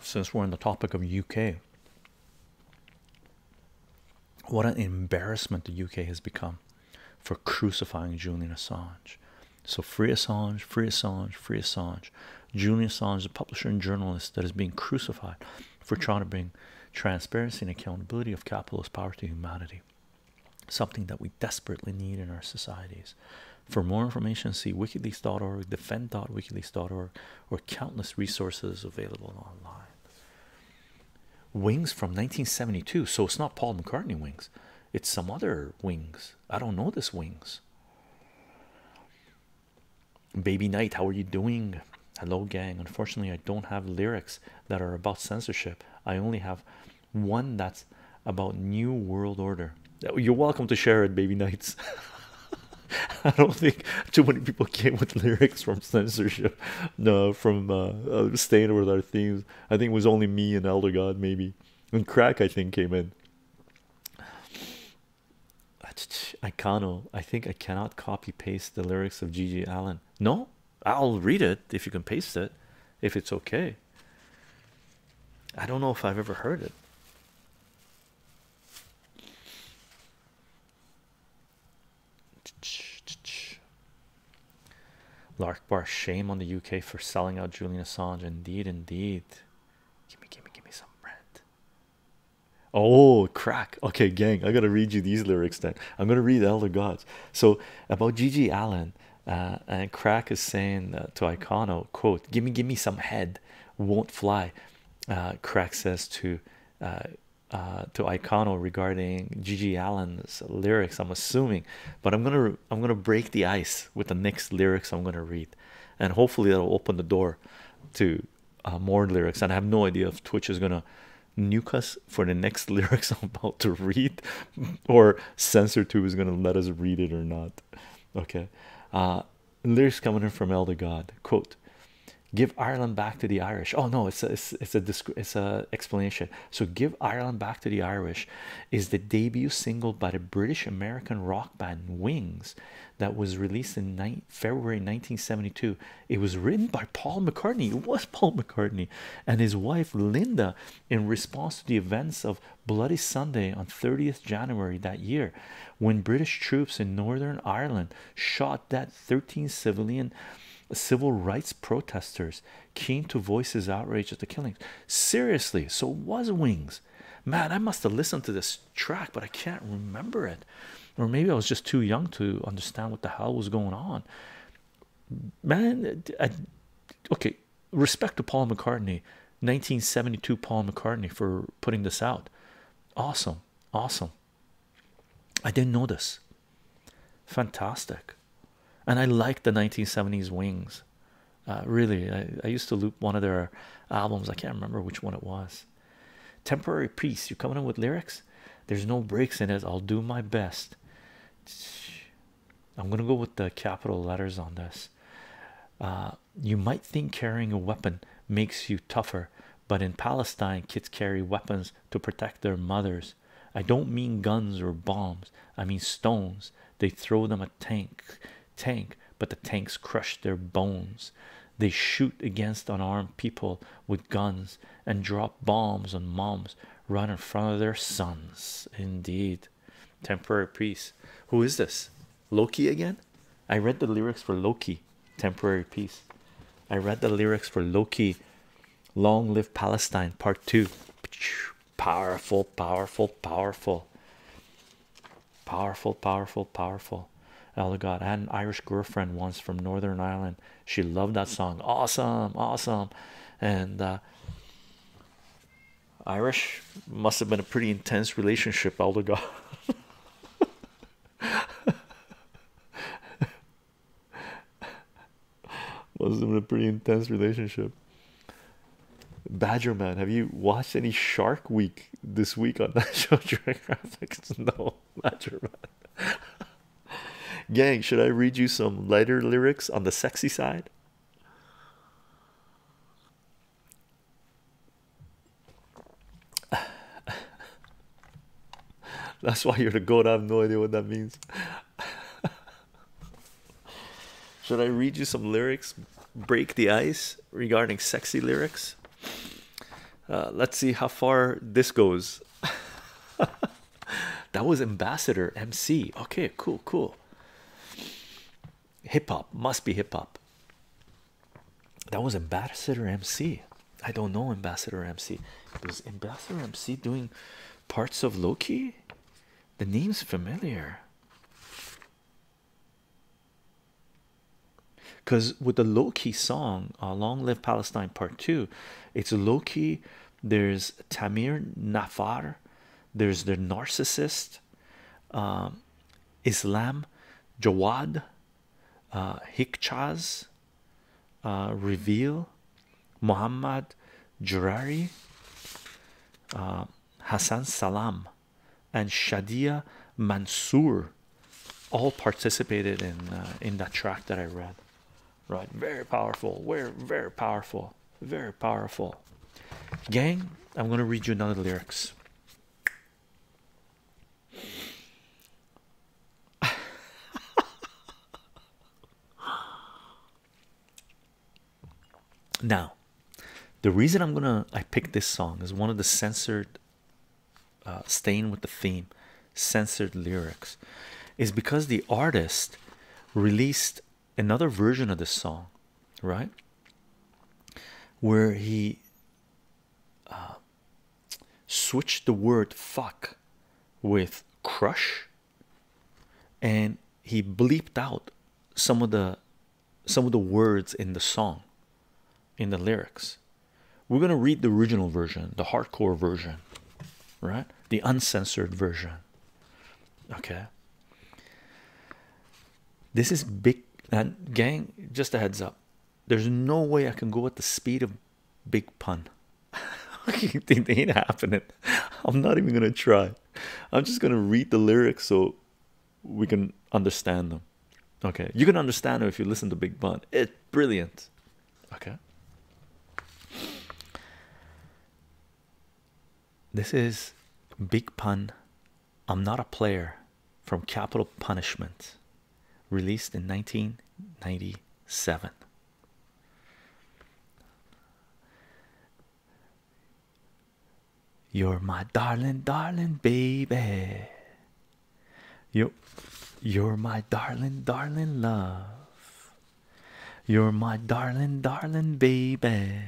Since we're on the topic of UK, what an embarrassment the UK has become for crucifying Julian Assange. So free Assange, free Assange, free Assange. Julian Assange, the publisher and journalist that is being crucified for trying to bring transparency and accountability of capitalist power to humanity. Something that we desperately need in our societies. For more information, see wikileaks.org, defend.wikileaks.org, or countless resources available online. Wings from 1972, so it's not Paul McCartney wings, it's some other wings I don't know this wings. Baby Knight, how are you doing? Hello, gang. Unfortunately, I don't have lyrics that are about censorship. I only have one that's about New World Order. Oh, you're welcome to share it, Baby Knights. *laughs* I don't think too many people came with lyrics from censorship, no, from uh, uh, staying with our themes. I think it was only me and Elder God, maybe. And crack, I think, came in. I Icano, oh, I think I cannot copy paste the lyrics of Gigi Allen. No, I'll read it if you can paste it, if it's okay. I don't know if I've ever heard it. Lark Akbar, shame on the UK for selling out Julian Assange. Indeed, indeed. Give me, give me, give me some bread. Oh, crack. Okay, gang, I gotta read you these lyrics then. I'm gonna read Elder Gods. So, about Gigi Allen, uh, and crack is saying uh, to Icono, quote, Give me, give me some head, won't fly. Uh, crack says to uh, to Icono regarding Gigi Allen's lyrics, I'm assuming, but I'm gonna I'm gonna break the ice with the next lyrics I'm gonna read, and hopefully that'll open the door to uh, more lyrics. And I have no idea if Twitch is gonna nuke us for the next *laughs* lyrics I'm about to read, *laughs* or censor tube is gonna let us read it or not. Okay, uh, lyrics coming in from Elder God quote. Give Ireland back to the Irish. Oh no, it's a, it's, it's a it's a explanation. So give Ireland back to the Irish is the debut single by the British American rock band Wings that was released in February 1972. It was written by Paul McCartney. It was *laughs* Paul McCartney and his wife Linda in response to the events of Bloody Sunday on 30th January that year when British troops in Northern Ireland shot dead 13 civilian civil rights protesters keen to voice his outrage at the killings Seriously, so was Wings. Man, I must have listened to this track, but I can't remember it. Or maybe I was just too young to understand what the hell was going on. Man, okay, respect to Paul McCartney, 1972 Paul McCartney for putting this out. Awesome, awesome. I didn't know this. Fantastic. And I like the 1970s wings. Uh, really, I, used to loop one of their albums. I can't remember which one it was. Temporary peace. You're coming in with lyrics. There's no breaks in it. I'll do my best. I'm gonna go with the capital letters on this. Uh, you might think carrying a weapon makes you tougher, but in Palestine, kids carry weapons to protect their mothers. I don't mean guns or bombs. I mean stones. They throw them at tank tank but the tanks crush their bones they shoot against unarmed people with guns and drop bombs on moms right in front of their sons indeed temporary peace who is this loki again i read the lyrics for loki temporary peace i read the lyrics for loki long live palestine part two Powerful, powerful, powerful, powerful, powerful, powerful. Oh god, I had an Irish girlfriend once from Northern Ireland. She loved that song. Awesome, awesome. And uh, Irish must have been a pretty intense relationship, Elder God. *laughs* must have been a pretty intense relationship. Badger man, have you watched any Shark Week this week on *laughs* National Geographic? *laughs* No, Badger *laughs* Gang, should I read you some lighter lyrics on the sexy side? That's why you're the goat. I have no idea what that means. Should I read you some lyrics? Break the ice regarding sexy lyrics. Uh, let's see how far this goes. *laughs* that was Ambassador MC. Okay, cool, cool. Hip hop must be hip hop. That was Ambassador MC. I don't know Ambassador MC. Was Ambassador MC doing parts of Loki? The name's familiar. Because with the low key song, uh, Long Live Palestine Part 2, it's low key. There's Tamir Nafar, there's the narcissist, um, Islam, Jawad, uh, Hikchas, uh, Reveal, Muhammad Jurari, Hassan Salam and Shadia Mansour all participated in uh, in that track that I read. Right, very powerful. We're very powerful, very powerful. Gang, I'm gonna read you another lyrics. *laughs* Now, the reason I'm gonna I picked this song is one of the censored, uh, staying with the theme, censored lyrics, is because the artist released another version of this song, right? Where he uh, switched the word fuck with crush and he bleeped out some of the some of the words in the song, in the lyrics. We're going to read the original version, the hardcore version, right? The uncensored version. Okay. This is big and uh, gang, just a heads up. There's no way I can go at the speed of big pun. *laughs* you think they ain't happening? I'm not even gonna try. I'm just gonna read the lyrics so we can understand them. Okay, you can understand them if you listen to Big Pun. It's brilliant. Okay. This is Big Pun. I'm not a player from Capital Punishment, released in 1997. You're my darling, darling baby. You, you're my darling, darling love. You're my darling, darling baby.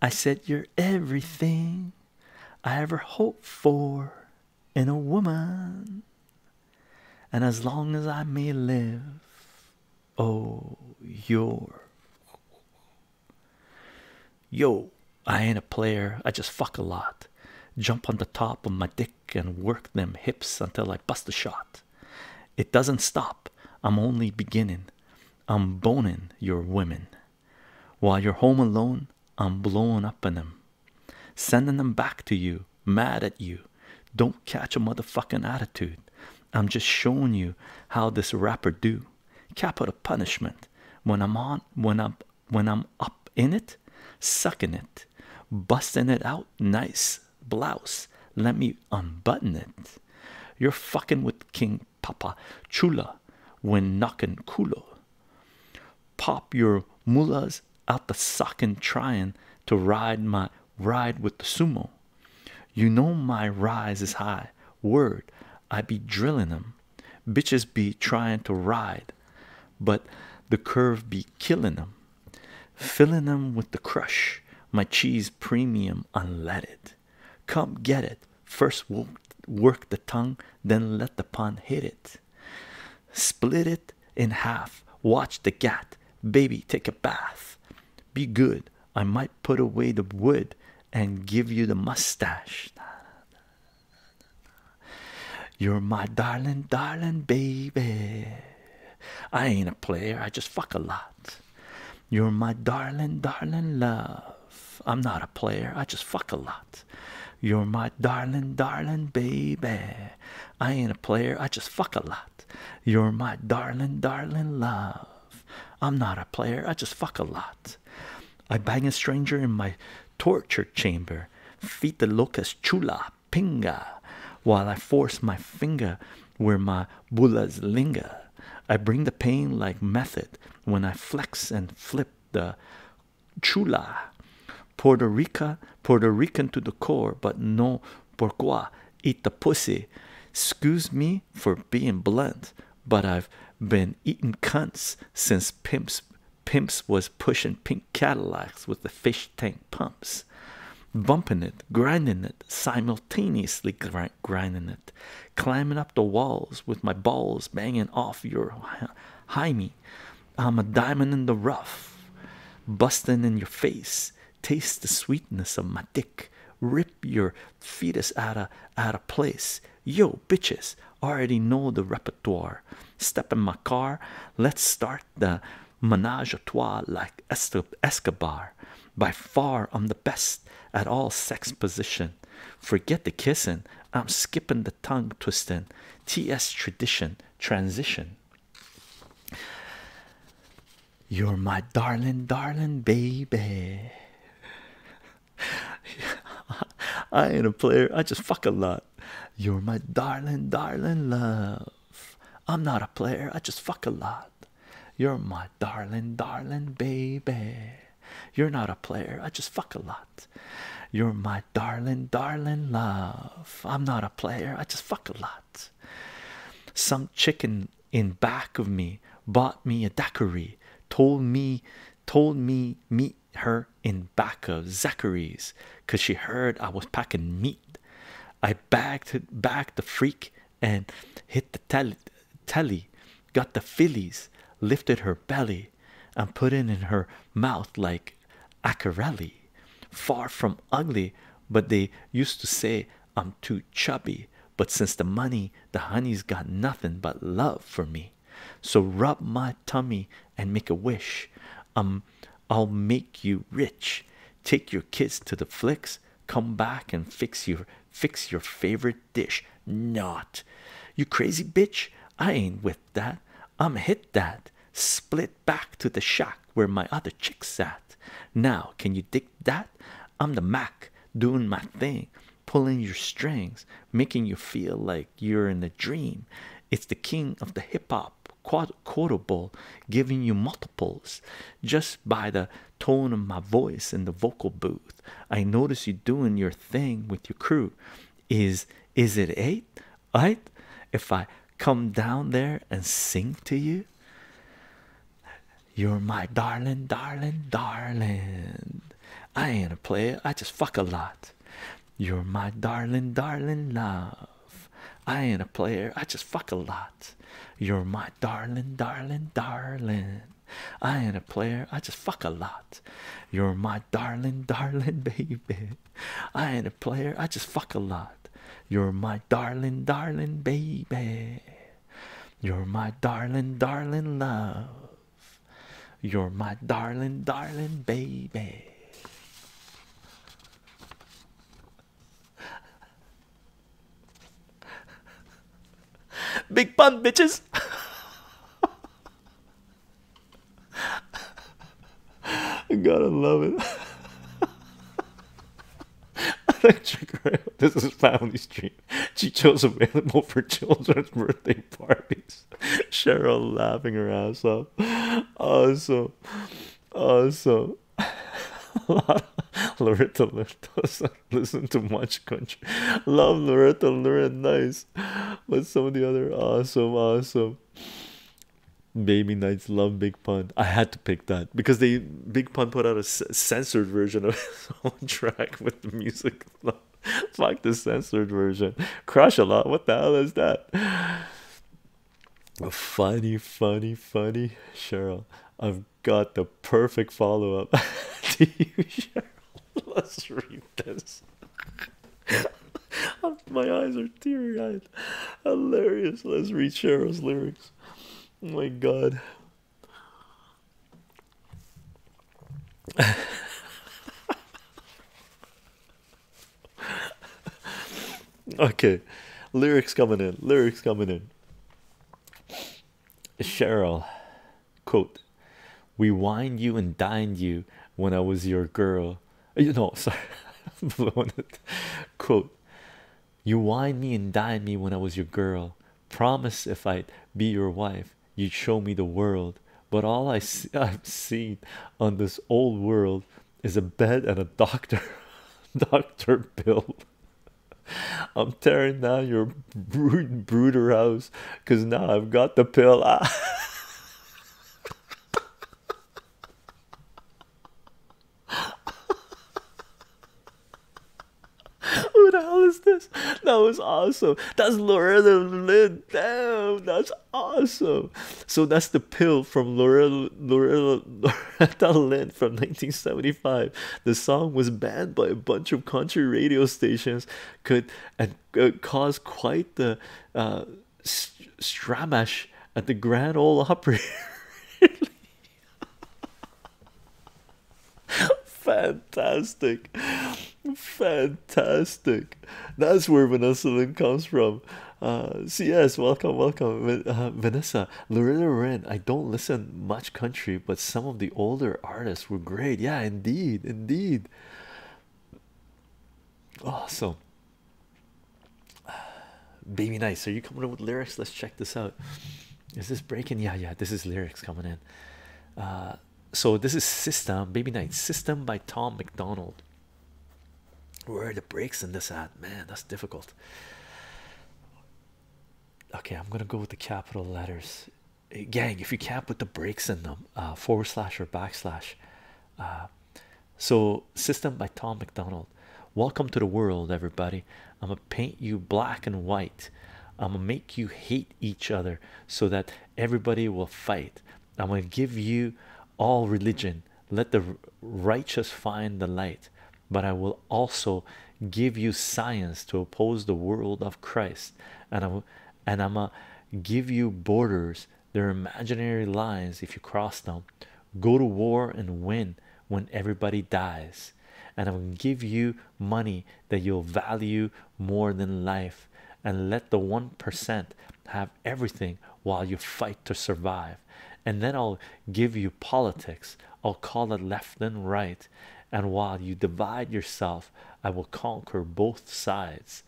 I said you're everything I ever hoped for in a woman. And as long as I may live, oh, you're Yo, I ain't a player, I just fuck a lot. Jump on the top of my dick and work them hips until I bust a shot. It doesn't stop, I'm only beginning. I'm boning your women. While you're home alone, I'm blowing up on them, sending them back to you, mad at you. Don't catch a motherfucking attitude. I'm just showing you how this rapper do capital punishment when i'm on when i'm when i'm up in it sucking it busting it out nice blouse let me unbutton it you're fucking with king papa chula when knocking culo pop your mullahs out the sock and trying to ride my ride with the sumo you know my rise is high word i be drilling them bitches be trying to ride but the curve be killing them filling them with the crush my cheese premium unleaded come get it first work the tongue then let the pun hit it split it in half watch the gat baby take a bath be good I might put away the wood and give you the mustache. You're my darling, darling baby. I ain't a player, I just fuck a lot. You're my darling, darling love. I'm not a player, I just fuck a lot. You're my darling, darling baby. I ain't a player, I just fuck a lot. You're my darling, darling love. I'm not a player. I just fuck a lot. I bang a stranger in my torture chamber, feed the locust chula pinga, while I force my finger where my bullas linger. I bring the pain like method when I flex and flip the chula. Puerto Rica, Puerto Rican to the core, but no pourquoi. Eat pussy. Excuse me for being blunt, but I've been eatin' cunts since pimps pimps was pushin' pink Cadillacs with the fish tank pumps, bumpin' it, grindin' it, simultaneously grindin' it, climbin' up the walls with my balls bangin' off your high me, I'm a diamond in the rough, bustin' in your face. Taste the sweetness of my dick. Rip your fetus out of out of place yo bitches already know the repertoire step in my car let's start the menage a trois like escobar by far i'm the best at all sex position forget the kissing i'm skipping the tongue twisting ts tradition transition you're my darling darling baby *laughs* I ain't a player. I just fuck a lot. You're my darling, darling love. I'm not a player. I just fuck a lot. You're my darling, darling baby. You're not a player. I just fuck a lot. You're my darling, darling love. I'm not a player. I just fuck a lot. Some chicken in back of me bought me a daiquiri, told me, told me meet her in back of Zachary's, cause she heard I was packing meat. I bagged bagged the freak and hit the telly, telly, got the fillies, lifted her belly, and put it in her mouth like acarelli. Far from ugly, but they used to say I'm too chubby. But since the money the honey's got nothing but love for me so rub my tummy and make a wish um i'll make you rich take your kids to the flicks come back and fix your fix your favorite dish not you crazy bitch i ain't with that i'm hit that split back to the shack where my other chicks at now can you dig that I'm the Mac doing my thing, pulling your strings, making you feel like you're in a dream. It's the king of the hip hop quotable, giving you multiples just by the tone of my voice in the vocal booth. I notice you doing your thing with your crew. Is is it eight? Right? If I come down there and sing to you, you're my darling, darling, darling. I ain't a player, I just fuck a lot. You're my darling, darling love. I ain't a player, I just fuck a lot. You're my darling, darling, darling. I ain't a player, I just fuck a lot. You're my darling, darling *laughs* baby. I ain't a player, I just fuck a lot. You're my darling, darling baby. You're my darling, darling love. You're my darling, darling baby. *laughs* Big pun, bitches. I *laughs* gotta love it. *laughs* This is family Street. *laughs* She Chicho's available for children's birthday parties. *laughs* Cheryl laughing her ass off. Awesome. Awesome. *laughs* Loretta Loretta doesn't listen to much country. Love Loretta Loretta nice. But some of the other awesome, awesome. Baby Knights love Big Pun. I had to pick that because they Big Pun put out a censored version of his own track with the music. *laughs* Fuck the censored version. Crush a lot. What the hell is that? Funny, funny, funny. Cheryl, I've got the perfect follow up to *laughs* you, Cheryl. Let's read this. *laughs* My eyes are teary eyed. Hilarious. Let's read Cheryl's lyrics. Oh my god. *laughs* okay, lyrics coming in, lyrics coming in. Cheryl, quote, We wine you and dined you when I was your girl. Uh, you know, *laughs* sorry, *laughs* blowing it. Quote, You wine me and dined me when I was your girl. Promise if I'd be your wife, you'd show me the world, but all I *laughs* I've seen on this old world is a bed and a doctor. *laughs* Dr. Bill, I'm tearing down your brood brooder house 'cause now I've got the pill. Ah. *laughs* Who the hell is this? That was awesome. That's Loretta Lynn. Damn, that's awesome. So that's the pill from Loretta, Loretta, Loretta *laughs* Lynn from 1975. The song was banned by a bunch of country radio stations. Could and uh, caused quite the uh, stramash at the Grand Ole Opry. *laughs* *laughs* fantastic fantastic that's where vanessa lynn comes from uh cs welcome welcome uh, vanessa loretta Wren. i don't listen much country but some of the older artists were great yeah indeed indeed awesome *sighs* baby nice are you coming up with lyrics let's check this out is this breaking yeah yeah this is lyrics coming in uh, so this is system baby night system by Tom McDonald where are the breaks in this at man that's difficult okay I'm gonna go with the capital letters eh, gang if you can't put the breaks in them uh, forward slash or backslash uh, so system by Tom McDonald welcome to the world everybody I'm gonna paint you black and white I'm gonna make you hate each other so that everybody will fight. I'm going to give you all religion. Let the righteous find the light, but I will also give you science to oppose the world of Christ. And I'm and I'm going to give you borders. They're imaginary lines if you cross them. Go to war and win when everybody dies. And I'm going to give you money that you'll value more than life and let the 1% have everything while you fight to survive and then I'll give you politics I'll call it left and right and while you divide yourself I will conquer both sides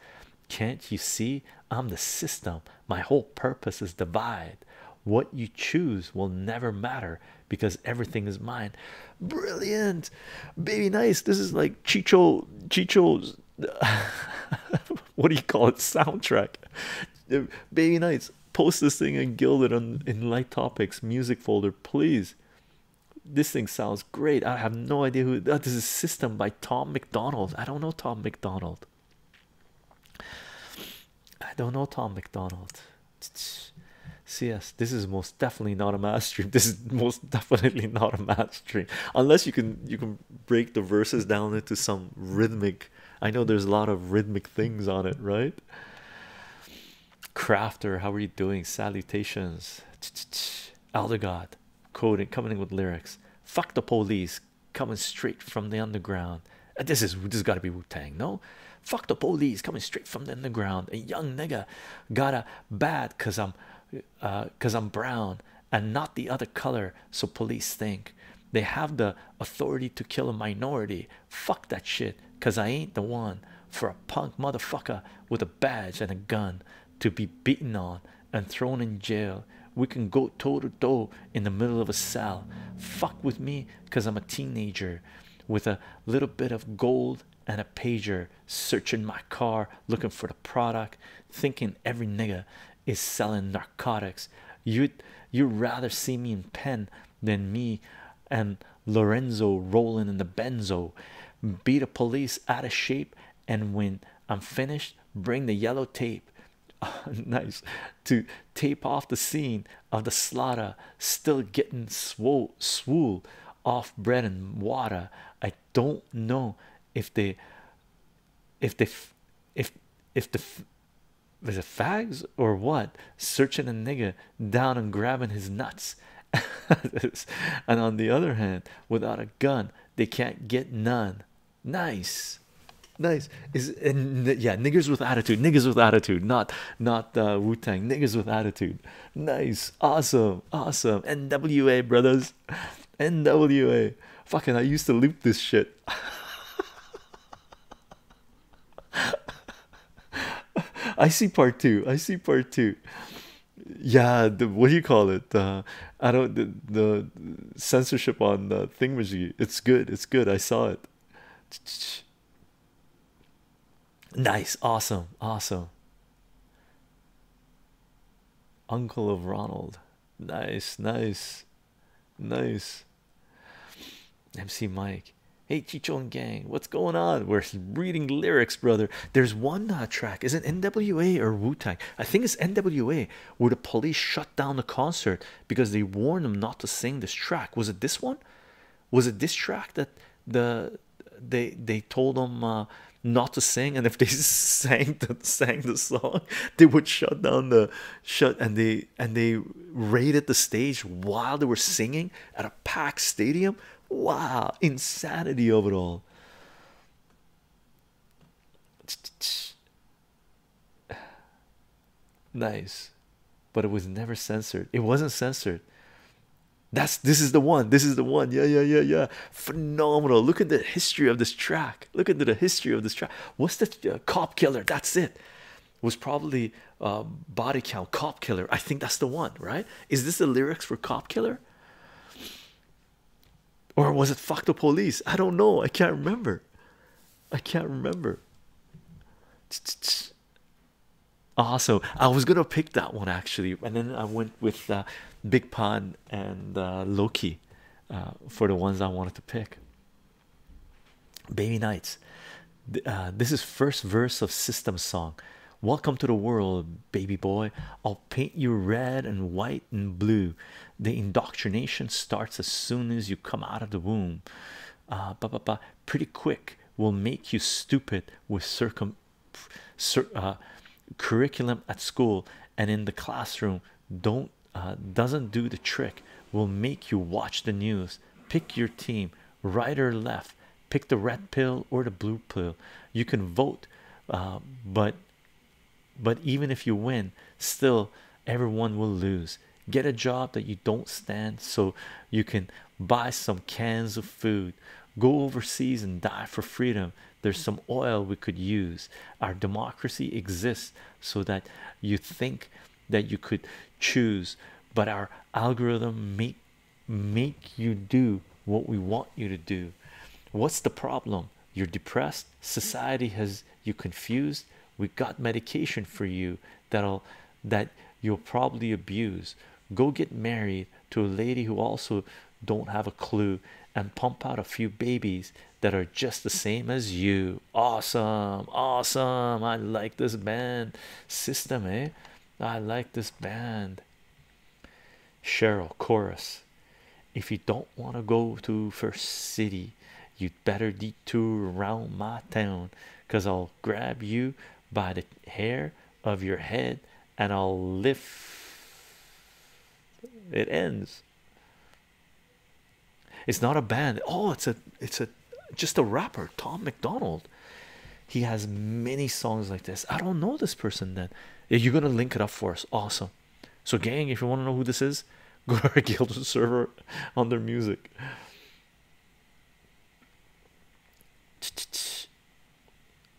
can't you see I'm the system my whole purpose is divide what you choose will never matter because everything is mine Brilliant, baby, nice. This is like Chicho Chicho's. *laughs* what do you call it? Soundtrack. Baby nice. Post this thing and gilded on in light topics music folder, please. This thing sounds great. I have no idea who. Uh, this is System by Tom McDonald. I don't know Tom McDonald. I don't know Tom McDonald. CS. This is most definitely not a math stream. *laughs* This is most definitely not a math stream, unless you can you can break the verses down into some rhythmic. I know there's a lot of rhythmic things on it, right? Crafter, how are you doing? Salutations, *tsk* Elder God, coming in with lyrics. Fuck the police, coming straight from the underground. Uh, this is this got to be Wu Tang, no? Fuck the police coming straight from the underground. A young nigga got a bad cause I'm because uh, I'm brown and not the other color. So police think they have the authority to kill a minority. Fuck that shit, because I ain't the one for a punk motherfucker with a badge and a gun to be beaten on and thrown in jail. We can go toe to toe in the middle of a cell. Fuck with me because I'm a teenager with a little bit of gold and a pager searching my car looking for the product thinking every nigga is selling narcotics you'd you rather see me in pen than me and lorenzo rolling in the benzo beat the police out of shape and when i'm finished bring the yellow tape *laughs* nice to tape off the scene of the slaughter still getting swole swool off bread and water i don't know if they if they if if the was fags or what searching a nigger down and grabbing his nuts *laughs* and on the other hand without a gun they can't get none nice nice is and yeah niggers with attitude niggers with attitude not not uh, wu-tang niggers with attitude nice awesome awesome, NWA brothers, NWA. Fucking, I used to loop this shit. *laughs* I see part two. I see part two. Yeah, the what do you call it? I don't the, censorship on the thing was. It's good. It's good. I saw it. Nice, awesome, awesome. Uncle of Ronald. Nice, nice, nice. MC Mike. Hey, Chichon gang, what's going on? We're *laughs* reading lyrics, brother. There's one uh, track. Is it NWA or Wu Tang? I think it's NWA where the police shut down the concert because they warned them not to sing this track. Was it this one? Was it this track that the they they told them uh, not to sing, and if they *laughs* sang the sang the song, they would shut down the shut and they and they raided the stage while they were singing at a packed stadium. Wow, insanity of it all. *sighs* Nice, but it was never censored. It wasn't censored. That's this is the one. This is the one. Yeah, yeah, yeah, yeah. Phenomenal. Look at the history of this track. Look at the history of this track. What's the uh, cop killer? That's it. Was probably uh, body count cop killer. I think that's the one, right? Is this the lyrics for cop killer? Or was it fuck the police? I don't know. I can't remember. I can't remember. Awesome. I was gonna pick that one actually, and then I went with uh, Big Pun and uh, Loki uh, for the ones I wanted to pick. Baby nights, uh, this is first verse of System Song. Welcome to the world, baby boy. I'll paint you red and white and blue. The indoctrination starts as soon as you come out of the womb. ba, ba, ba. Pretty quick will make you stupid with circum uh, curriculum at school and in the classroom don't uh, doesn't do the trick will make you watch the news pick your team right or left pick the red pill or the blue pill you can vote uh, but but even if you win still everyone will lose get a job that you don't stand so you can buy some cans of food go overseas and die for freedom there's some oil we could use our democracy exists so that you think that you could choose but our algorithm make make you do what we want you to do what's the problem you're depressed society has you confused we got medication for you that'll that you'll probably abuse go get married to a lady who also don't have a clue and pump out a few babies that are just the same as you. Awesome, awesome. I like this band system, eh? I like this band. Cheryl chorus. If you don't want to go to First City, you'd better detour around my town because I'll grab you by the hair of your head and I'll lift it ends it's not a band oh it's a it's a just a rapper Tom McDonald he has many songs like this I don't know this person then you're gonna link it up for us awesome so gang if you want to know who this is *laughs* go to our guild *laughs* server on their music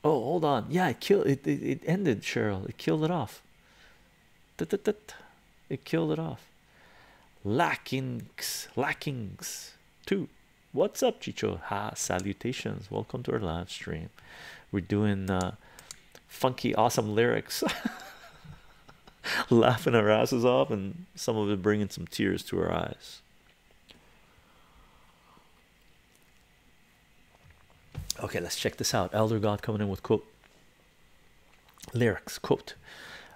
Oh, hold on. Yeah, it killed it, it. ended Cheryl. It killed it off. It killed it off. Lackings, lackings. Two. What's up, Chicho? Ha! Salutations. Welcome to our live stream. We're doing uh, funky, awesome lyrics, *laughs* laughing our asses off, and some of it bringing some tears to our eyes. Okay, let's check this out. Elder God coming in with quote lyrics quote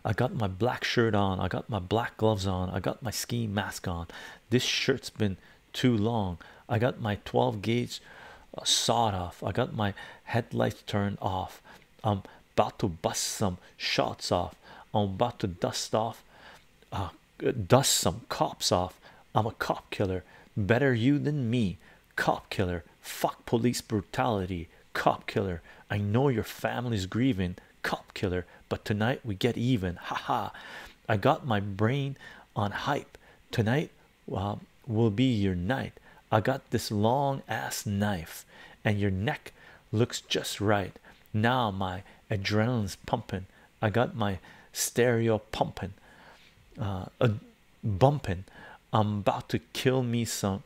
I got my black shirt on, I got my black gloves on, I got my ski mask on. This shirt's been too long. I got my 12 gauge uh, sawed off. I got my headlights turned off. I'm about to bust some shots off. I'm about to dust off uh, dust some cops off. I'm a cop killer. Better you than me. Cop killer. Fuck police brutality. Cop killer. I know your family's grieving. Cop killer. But tonight we get even. Haha. *laughs* -ha. I got my brain on hype. Tonight well, um, will be your night. I got this long ass knife, and your neck looks just right. Now my adrenaline's pumping. I got my stereo pumping, uh, bumping. I'm about to kill me some,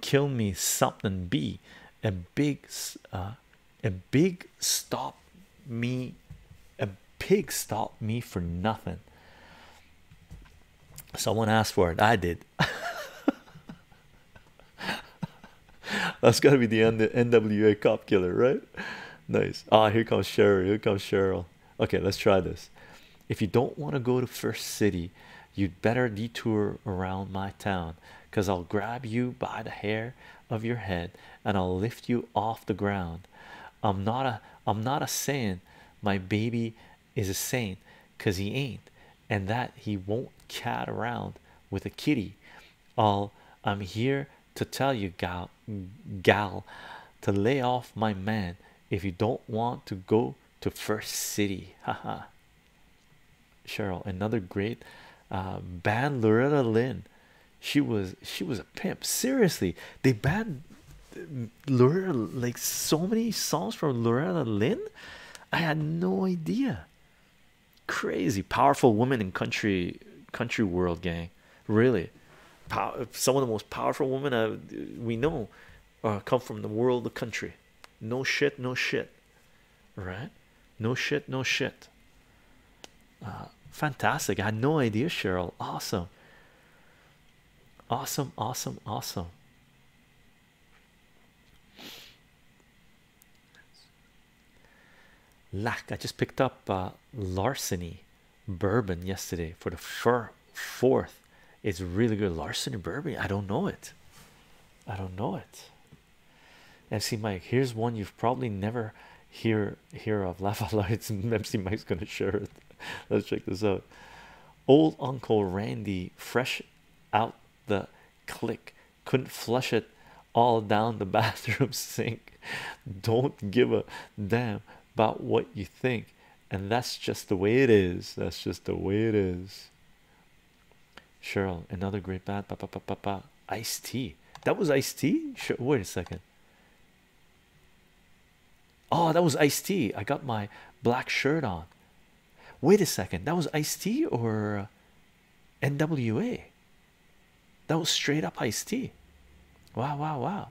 kill me something. Be a big, uh, a big stop me, a pig stop me for nothing. Someone asked for it. I did. *laughs* That's gotta be the NWA cop killer, right? Nice. Ah, here comes Cheryl. Here comes Cheryl. Okay, let's try this. If you don't want to go to First City, you'd better detour around my town because I'll grab you by the hair of your head and I'll lift you off the ground. I'm not a I'm not a saint. My baby is a saint because he ain't and that he won't cat around with a kitty. All I'm here to tell you gal gal to lay off my man if you don't want to go to first city *laughs* haha cheryl another great uh, band loretta lynn she was she was a pimp seriously they banned loretta like so many songs from loretta lynn i had no idea crazy powerful woman in country country world gang really power, some of the most powerful women we know uh, come from the world the country no shit no shit right no shit no shit uh, fantastic i had no idea cheryl awesome awesome awesome awesome lack i just picked up uh, larceny bourbon yesterday for the fir fourth. It's really good. Larceny bourbon. I don't know it. I don't know it. MC Mike, here's one you've probably never hear hear of. *laughs* Laugh out loud. It's MC Mike's gonna share it. *laughs* Let's check this out. Old Uncle Randy, fresh out the click, couldn't flush it all down the *laughs* bathroom sink. Don't give a damn about what you think, and that's just the way it is. That's just the way it is. Cheryl, another great bad. Pa, pa, pa, pa, pa. Iced tea. That was iced tea. Sure. Wait a second. Oh, that was iced tea. I got my black shirt on. Wait a second. That was iced tea or uh, NWA? That was straight up iced tea. Wow, wow, wow.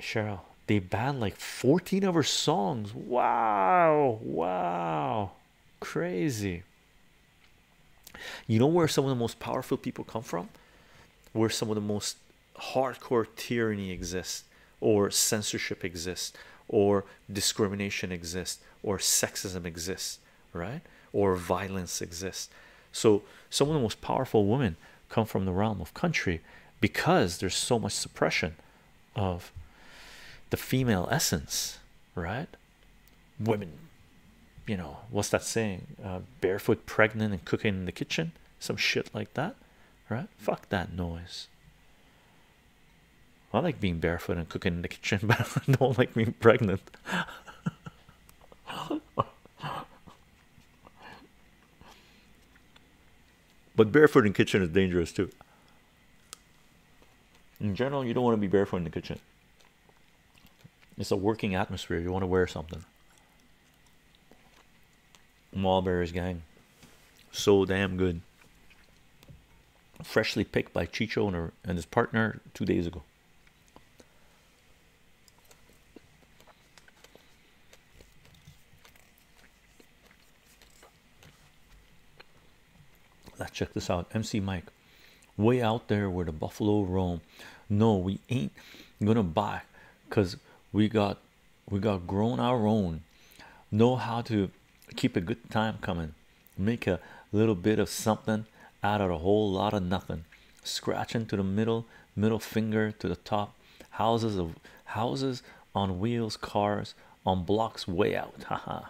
Cheryl, they banned like 14 of her songs. Wow, wow, crazy. You know where some of the most powerful people come from? Where some of the most hardcore tyranny exists, or censorship exists, or discrimination exists or sexism exists right or violence exists so some of the most powerful women come from the realm of country because there's so much suppression of the female essence right women you know what's that saying uh, barefoot pregnant and cooking in the kitchen some shit like that right fuck that noise I like being barefoot and cooking in the kitchen, *laughs* but I don't like being pregnant. but barefoot in kitchen is dangerous too. In general, you don't want to be barefoot in the kitchen. It's a working atmosphere. You want to wear something. Mulberries gang. So damn good freshly picked by Chicho and, and his partner two days ago. Let's check this out. MC Mike, way out there where the buffalo roam. No, we ain't gonna buy, cause we got we got grown our own. Know how to keep a good time coming make a little bit of something out of a whole lot of nothing scratching to the middle middle finger to the top houses of houses on wheels cars on blocks way out haha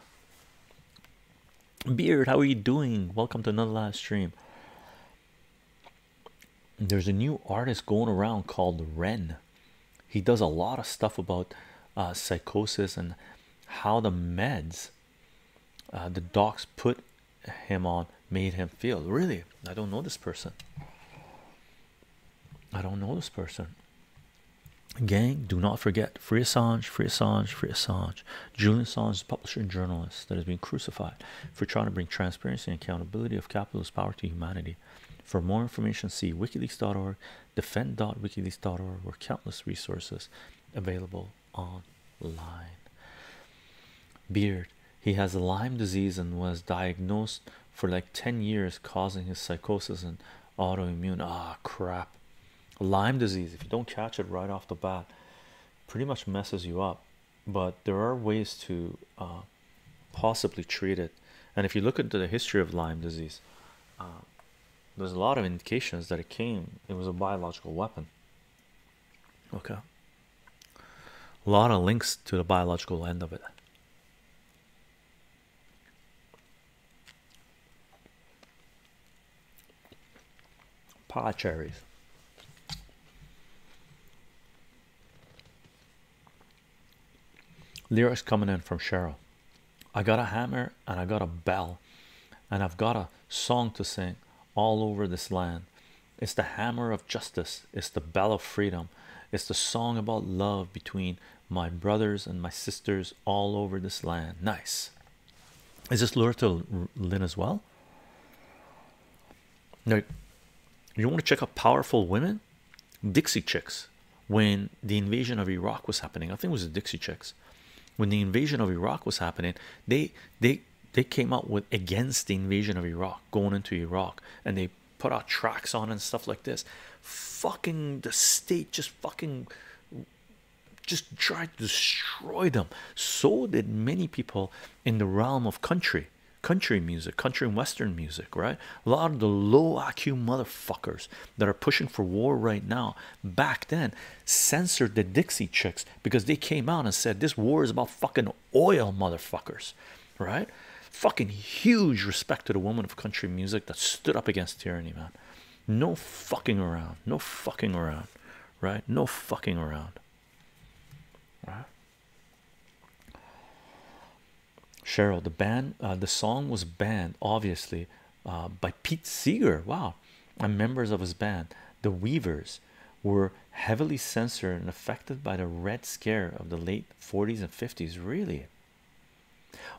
beard how are you doing welcome to another live stream there's a new artist going around called Ren he does a lot of stuff about uh, psychosis and how the meds uh, the docs put him on made him feel really i don't know this person i don't know this person gang do not forget free assange free assange free assange julian assange is a publisher and journalist that has been crucified for trying to bring transparency and accountability of capitalist power to humanity for more information see wikileaks.org defend.wikileaks.org where countless resources available online. Beard, he has Lyme disease and was diagnosed for like 10 years, causing his psychosis and autoimmune. Ah, crap. Lyme disease, if you don't catch it right off the bat, pretty much messes you up. But there are ways to uh, possibly treat it. And if you look into the history of Lyme disease, uh, there's a lot of indications that it came it was a biological weapon okay a lot of links to the biological end of it Pie cherries lyrics coming in from cheryl i got a hammer and i got a bell and i've got a song to sing all over this land. It's the hammer of justice, it's the bell of freedom, it's the song about love between my brothers and my sisters all over this land. Nice. Is this Loretta Lynn as well? No. you want to check out powerful women? Dixie Chicks. When the invasion of Iraq was happening, I think it was the Dixie Chicks when the invasion of Iraq was happening they they they came out with against the invasion of Iraq going into Iraq and they put out tracks on and stuff like this fucking the state just fucking just tried to destroy them so did many people in the realm of country country music country and western music right a lot of the low IQ motherfuckers that are pushing for war right now back then censored the Dixie Chicks because they came out and said this war is about fucking oil, motherfuckers, right? Fucking huge respect to the woman of country music that stood up against tyranny, man. No fucking around, no fucking around, right? No fucking around, right? Cheryl, the band, uh, the song was banned, obviously, uh, by Pete Seeger. Wow, and members of his band, the Weavers, were heavily censored and affected by the Red Scare of the late 40s and 50s. Really?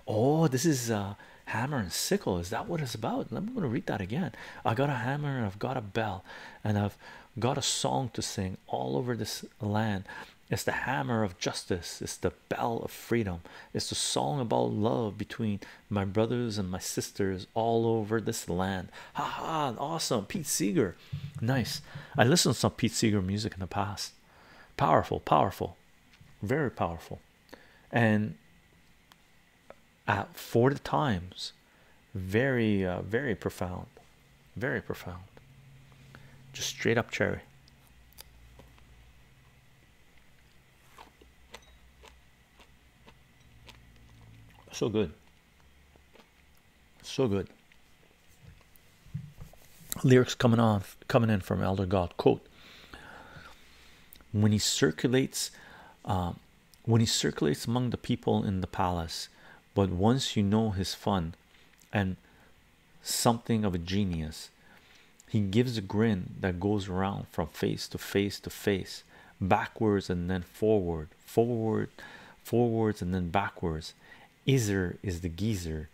Oh, this is uh, Hammer and Sickle. Is that what it's about? I'm going to read that again. I got a hammer and I've got a bell and I've got a song to sing all over this land. It's the hammer of justice, it's the bell of freedom, it's the song about love between my brothers and my sisters all over this land. ha -ha, awesome. Pete Seeger. Nice. I listened to some Pete Seeger music in the past. Powerful, powerful, very powerful. And at for the times, very, uh, very profound, very profound. Just straight up cherry. So good. So good. Lyrics coming on coming in from Elder God quote when he circulates um, when he circulates among the people in the palace but once you know his fun and something of a genius he gives a grin that goes around from face to face to face backwards and then forward forward forwards and then backwards Izer is the geezer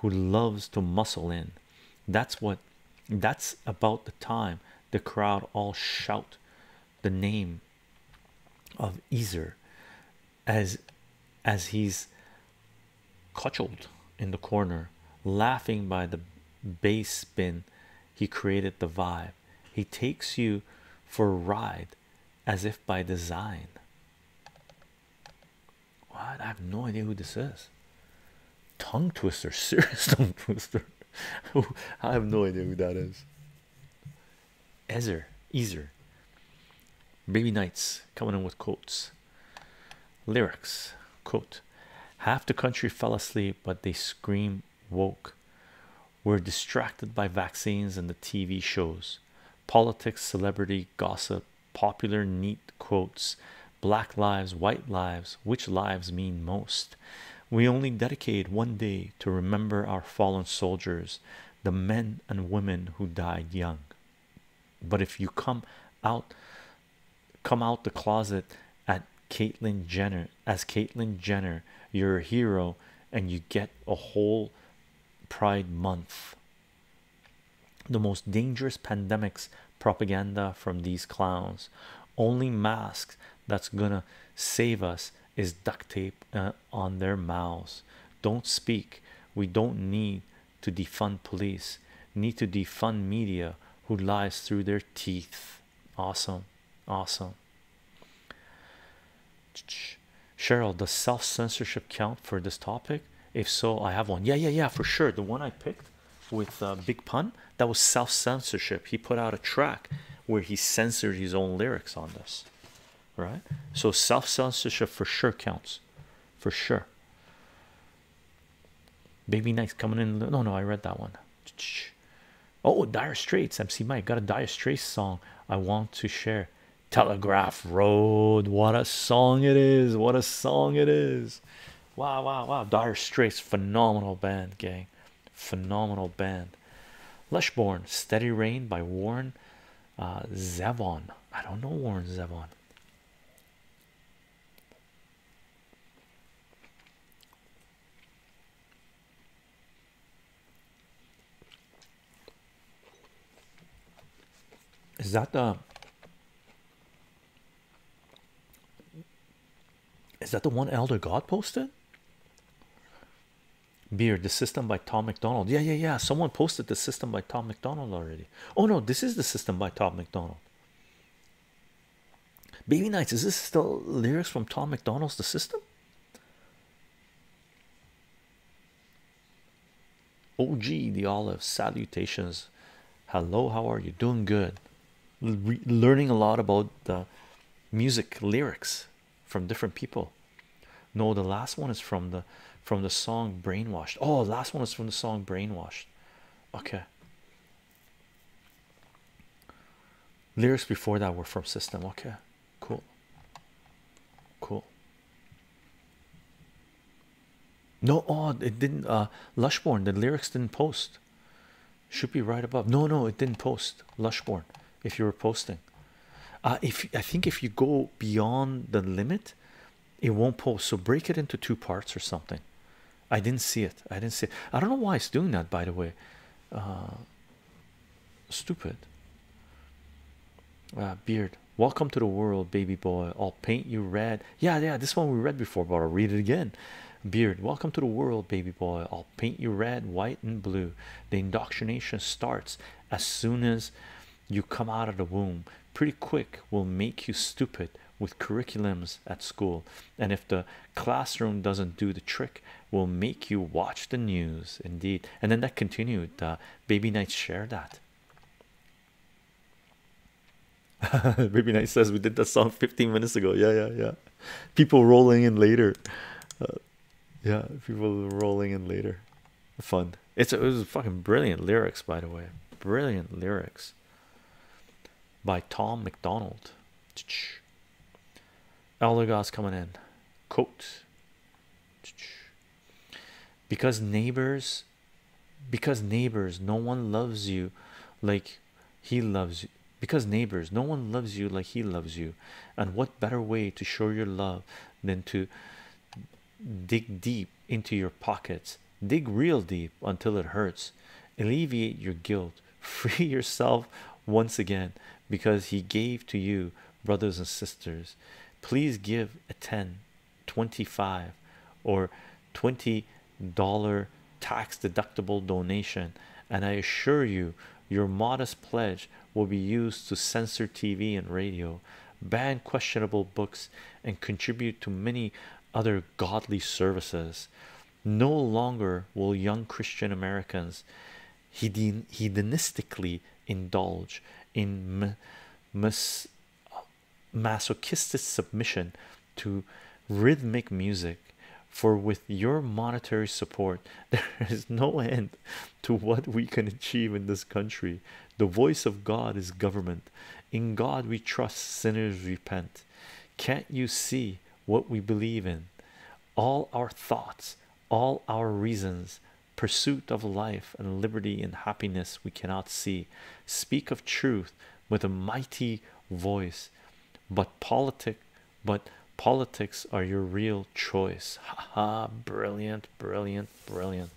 who loves to muscle in that's what that's about the time the crowd all shout the name of Izer, as as he's cudgeled in the corner laughing by the bass spin he created the vibe he takes you for a ride as if by design what i have no idea who this is tongue twister *laughs* serious tongue twister i have no idea who that is ezer ezer baby knights coming in with quotes lyrics quote half the country fell asleep but they scream woke. were distracted by vaccines and the TV shows, politics, celebrity gossip, popular neat quotes, black lives, white lives, which lives mean most. We only dedicate one day to remember our fallen soldiers, the men and women who died young. But if you come out, come out the closet at Caitlyn Jenner as Caitlyn Jenner. You're a hero, and you get a whole Pride Month. The most dangerous pandemics propaganda from these clowns. Only masks that's gonna save us is duct tape uh, on their mouths. Don't speak. We don't need to defund police. Need to defund media who lies through their teeth. Awesome, awesome. Cheryl, does self censorship count for this topic? If so, I have one. Yeah, yeah, yeah, for sure. The one I picked with uh, Big Pun that was self censorship. He put out a track where he censored his own lyrics on this, right? So self censorship for sure counts, for sure. Baby nice coming in. No, no, I read that one. Oh, Dire Straits, MC Mike got a Dire Straits song I want to share. Telegraph Road, what a song it is! What a song it is! Wow, wow, wow! Dire Straits, phenomenal band, gang, phenomenal band. Leshborn, Steady Rain by Warren uh, Zevon. I don't know Warren Zevon. Is that the Is that the one Elder God posted? Beard, the system by Tom McDonald. Yeah, yeah, yeah. Someone posted the system by Tom McDonald already. Oh no, this is the system by Tom McDonald. Baby Nights, is this still lyrics from Tom McDonald's The System? OG the olive salutations. Hello, how are you? Doing good. learning a lot about the music lyrics from different people. No, the last one is from the from the song Brainwashed. Oh, last one is from the song Brainwashed. Okay, lyrics before that were from system okay cool cool no oh it didn't uh lushborn the lyrics didn't post should be right above no no it didn't post lushborn if you were posting uh if i think if you go beyond the limit it won't post so break it into two parts or something i didn't see it i didn't see i don't know why it's doing that by the way uh, stupid. Uh, beard, welcome to the world, baby boy. I'll paint you red. Yeah, yeah, this one we read before, but I'll read it again. Beard, welcome to the world, baby boy. I'll paint you red, white, and blue. The indoctrination starts as soon as you come out of the womb. Pretty quick, will make you stupid with curriculums at school. And if the classroom doesn't do the trick, will make you watch the news indeed and then that continued The uh, baby knights share that *laughs* baby night says we did that song 15 minutes ago yeah yeah yeah people rolling in later uh, yeah people rolling in later fun it's it was fucking brilliant lyrics by the way brilliant lyrics by tom mcdonald Eldergoss coming in. Coat. Because neighbors, because neighbors, no one loves you like he loves you. Because neighbors, no one loves you like he loves you. And what better way to show your love than to dig deep into your pockets? Dig real deep until it hurts. Alleviate your guilt. Free *laughs* yourself once again because he gave to you, brothers and sisters. Please give a 10, or $20 tax deductible donation, and I assure you, your modest pledge will be used to censor TV and radio, ban questionable books, and contribute to many other godly services. No longer will young Christian Americans hedonistically indulge in masochistic submission to rhythmic music, for with your monetary support, *laughs* there is no end to what we can achieve in this country. The voice of God is government. In God we trust, sinners repent. Can't you see what we believe in? all our thoughts, all our reasons, pursuit of life and liberty and happiness we cannot see, speak of truth with a mighty voice. But politic, but politics are your real choice. *laughs* Ha ha! brilliant, brilliant, brilliant.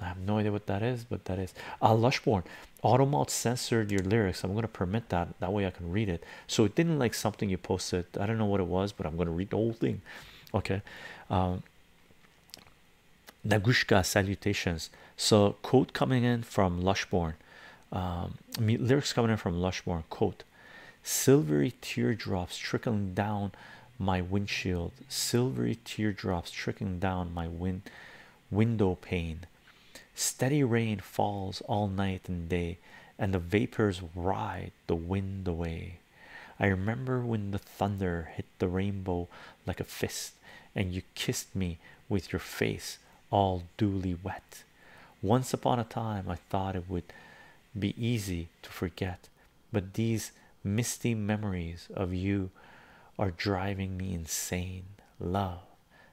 I have no idea what that is, but that is uh, Lushborn. Automalt censored your lyrics. I'm going to permit that. That way I can read it so it didn't like something you posted i don't know what it was but i'm going to read the whole thing okay um, nagushka salutations so quote coming in from lushborn um, lyrics coming in from lushborn quote silvery teardrops trickling down my windshield silvery teardrops trickling down my wind window pane Steady rain falls all night and day, and the vapors ride the wind away. I remember when the thunder hit the rainbow like a fist, and you kissed me with your face all duly wet. Once upon a time, I thought it would be easy to forget, but these misty memories of you are driving me insane. Love.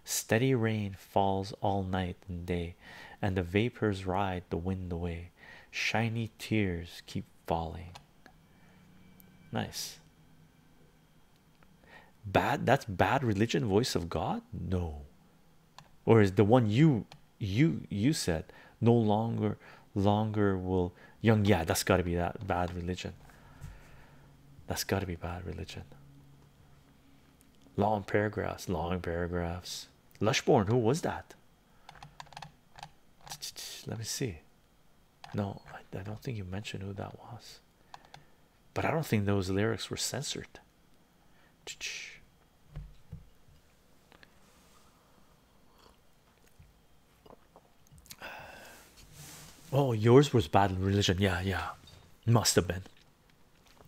Steady rain falls all night and day, and the vapors ride the wind away. Shiny tears keep falling. Nice. Bad that's bad religion, voice of God? No. Or is the one you you you said no longer longer will young yeah that's gotta be that bad religion. That's gotta be bad religion long paragraphs long paragraphs lushborn who was that let me see no I, don't think you mentioned who that was but i don't think those lyrics were censored oh yours was bad religion yeah yeah must have been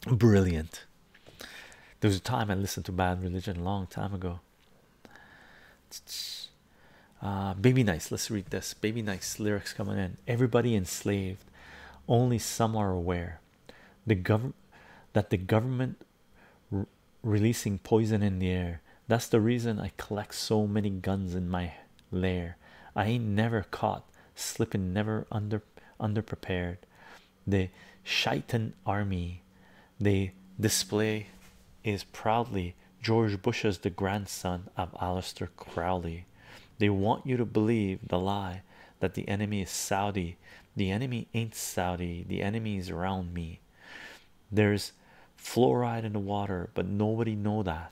Brilliant. There was a time I listened to Bad Religion a long time ago. Uh, Baby Nice, let's read this. Baby Nice lyrics coming in. Everybody enslaved, only some are aware. The government that the government releasing poison in the air. That's the reason I collect so many guns in my lair. I ain't never caught slipping, never under under prepared the shaitan army they display is proudly george bush's the grandson of Aleister crowley they want you to believe the lie that the enemy is saudi the enemy ain't saudi the enemy is around me there's fluoride in the water but nobody know that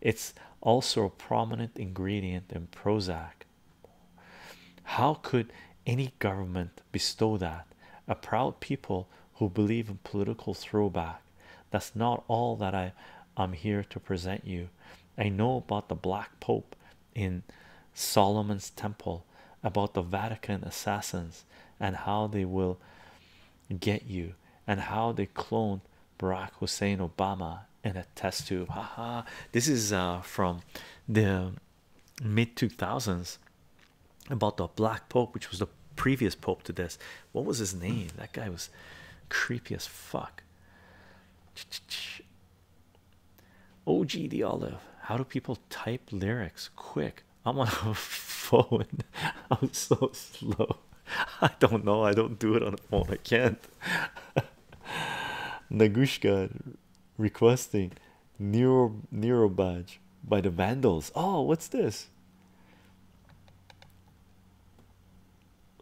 it's also a prominent ingredient in prozac how could any government bestow that? A proud people who believe in political throwback. That's not all that I am here to present you. I know about the Black Pope in Solomon's Temple, about the Vatican assassins, and how they will get you, and how they cloned Barack Hussein Obama and a test tube. Haha. This is uh, from the mid 2000s about the black pope, which was the previous pope to this. What was his name? That guy was creepy as fuck. OG the olive. How do people type lyrics quick? I'm on a *laughs* phone. I'm so slow. *laughs* I don't know. I don't do it on a phone. I can't. *laughs* Nagushka requesting neuro Nero badge by the Vandals. Oh, what's this?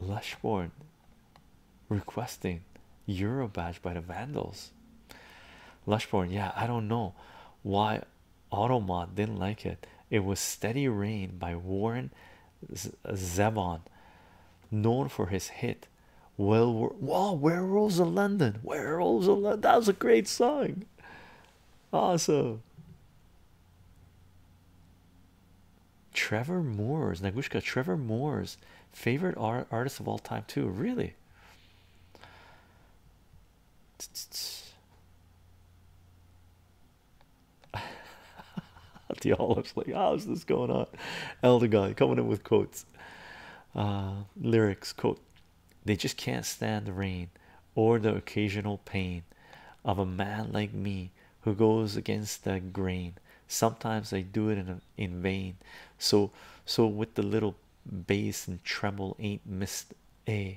Lushborn requesting Euro badge by the Vandals. Lushborn, yeah, I don't know why Automod didn't like it. It was Steady Rain by Warren Zevon, known for his hit well, wow, werewolves of London, werewolves of London. That was a great song. Awesome. Trevor Moore's Nagushka. Trevor Moore's favorite artist of all time, too. Really. *laughs* the olives like how's ah, this going on elder guy coming in with quotes uh, lyrics quote they just can't stand the rain or the occasional pain of a man like me who goes against the grain sometimes i do it in in vain so so with the little bass and treble ain't missed a eh?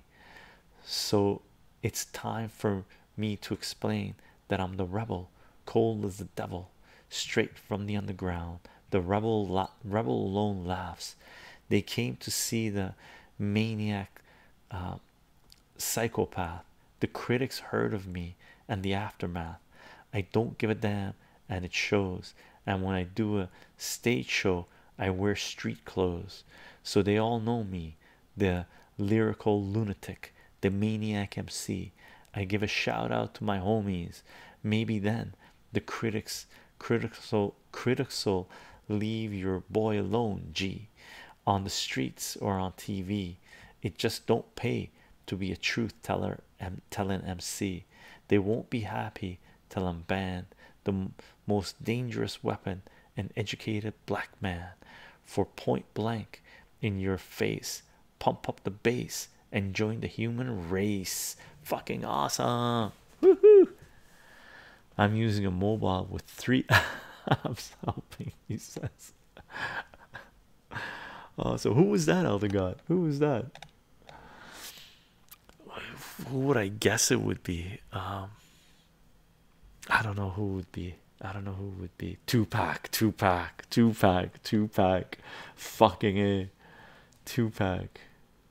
so it's time for me to explain that I'm the rebel, cold as the devil, straight from the underground. The rebel, la rebel alone laughs. They came to see the maniac uh, psychopath. The critics heard of me and the aftermath. I don't give a damn, and it shows. And when I do a stage show, I wear street clothes, so they all know me the lyrical lunatic, the maniac MC. I give a shout out to my homies. Maybe then the critics, critical, critical, leave your boy alone. G, on the streets or on TV, it just don't pay to be a truth teller and telling MC. They won't be happy till I'm banned. The most dangerous weapon, an educated black man, for point blank in your face pump up the bass and join the human race. Fucking awesome! I'm using a mobile with three *laughs* apps helping. He says. Uh, *laughs* so who was that, Elder God? Who was that? Who would I guess it would be? Um, I don't know who would be. I don't know who would be two pack two pack two pack two pack fucking a two pack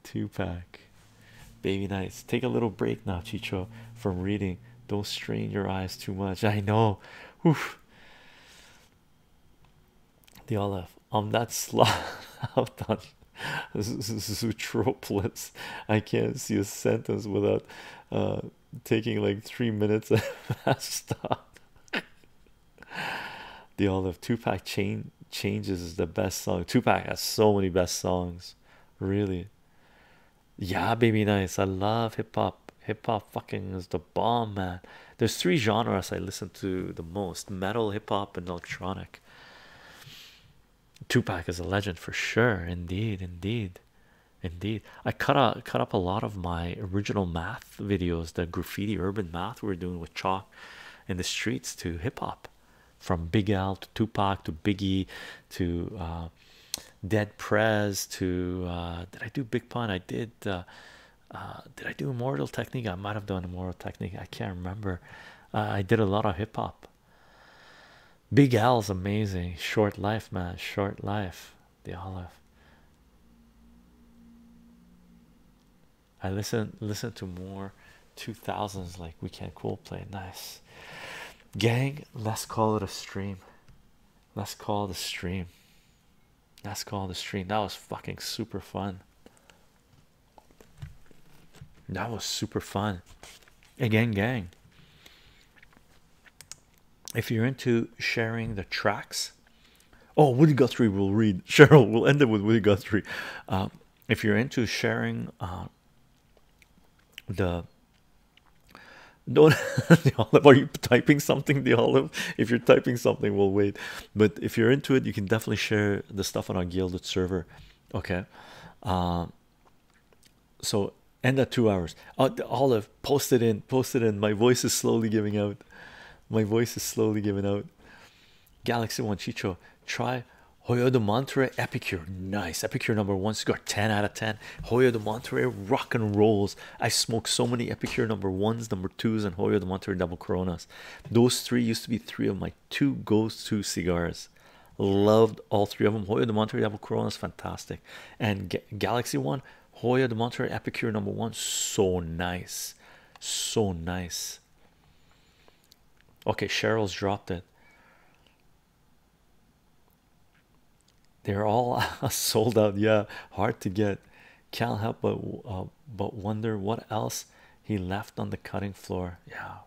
two pack baby nights take a little break now chicho from reading don't strain your eyes too much i know Oof. the olive i'm that slot *laughs* out *laughs* on zootroplets i can't see a sentence without uh, taking like three minutes and *laughs* stop the olive two pack chain changes is the best song. Tupac has so many best songs, really. Yeah, baby, nice. I love hip hop. Hip hop fucking is the bomb, man. There's three genres I listen to the most metal, hip hop, and electronic. Tupac is a legend for sure, indeed, indeed, indeed. I cut out cut up a lot of my original math videos, the graffiti urban math we're doing with chalk in the streets to hip hop, from Big Al to Tupac to Biggie to uh, Dead Prez to uh, did I do Big Pun? I did. Uh, did I do Immortal Technique? I might have done Immortal Technique. I can't remember. I did a lot of hip hop. Big Al's amazing. Short life, man. Short life. They all olive. I listen listen to more 2000s like we can cool play nice gang let's call it a stream let's call the stream let's call the stream that was fucking super fun that was super fun again gang if you're into sharing the tracks Oh, Woody Guthrie will read. *laughs* Cheryl will end up with Woody Guthrie. Um, if you're into sharing uh, the don't *laughs* olive are you typing something the olive if you're typing something we'll wait but if you're into it you can definitely share the stuff on our gilded server okay uh, so end at two hours uh, olive post it in post it in my voice is slowly giving out my voice is slowly giving out. Galaxy One Chicho, try Hoyo de Monterey Epicure. Nice. Epicure number one cigar, 10 out of 10. Hoyo de Monterey rock and rolls. I smoked so many Epicure number ones, number twos, and Hoyo de Monterey double coronas. Those three used to be three of my two go-to cigars. Loved all three of them. Hoyo de Monterey double Coronas, fantastic. And Galaxy One, Hoya de Monterey Epicure number one. So nice. So nice. Okay, Cheryl's dropped it. They're all *laughs* sold out. Yeah, hard to get. Can't help but uh, but wonder what else he left on the cutting floor. Yeah.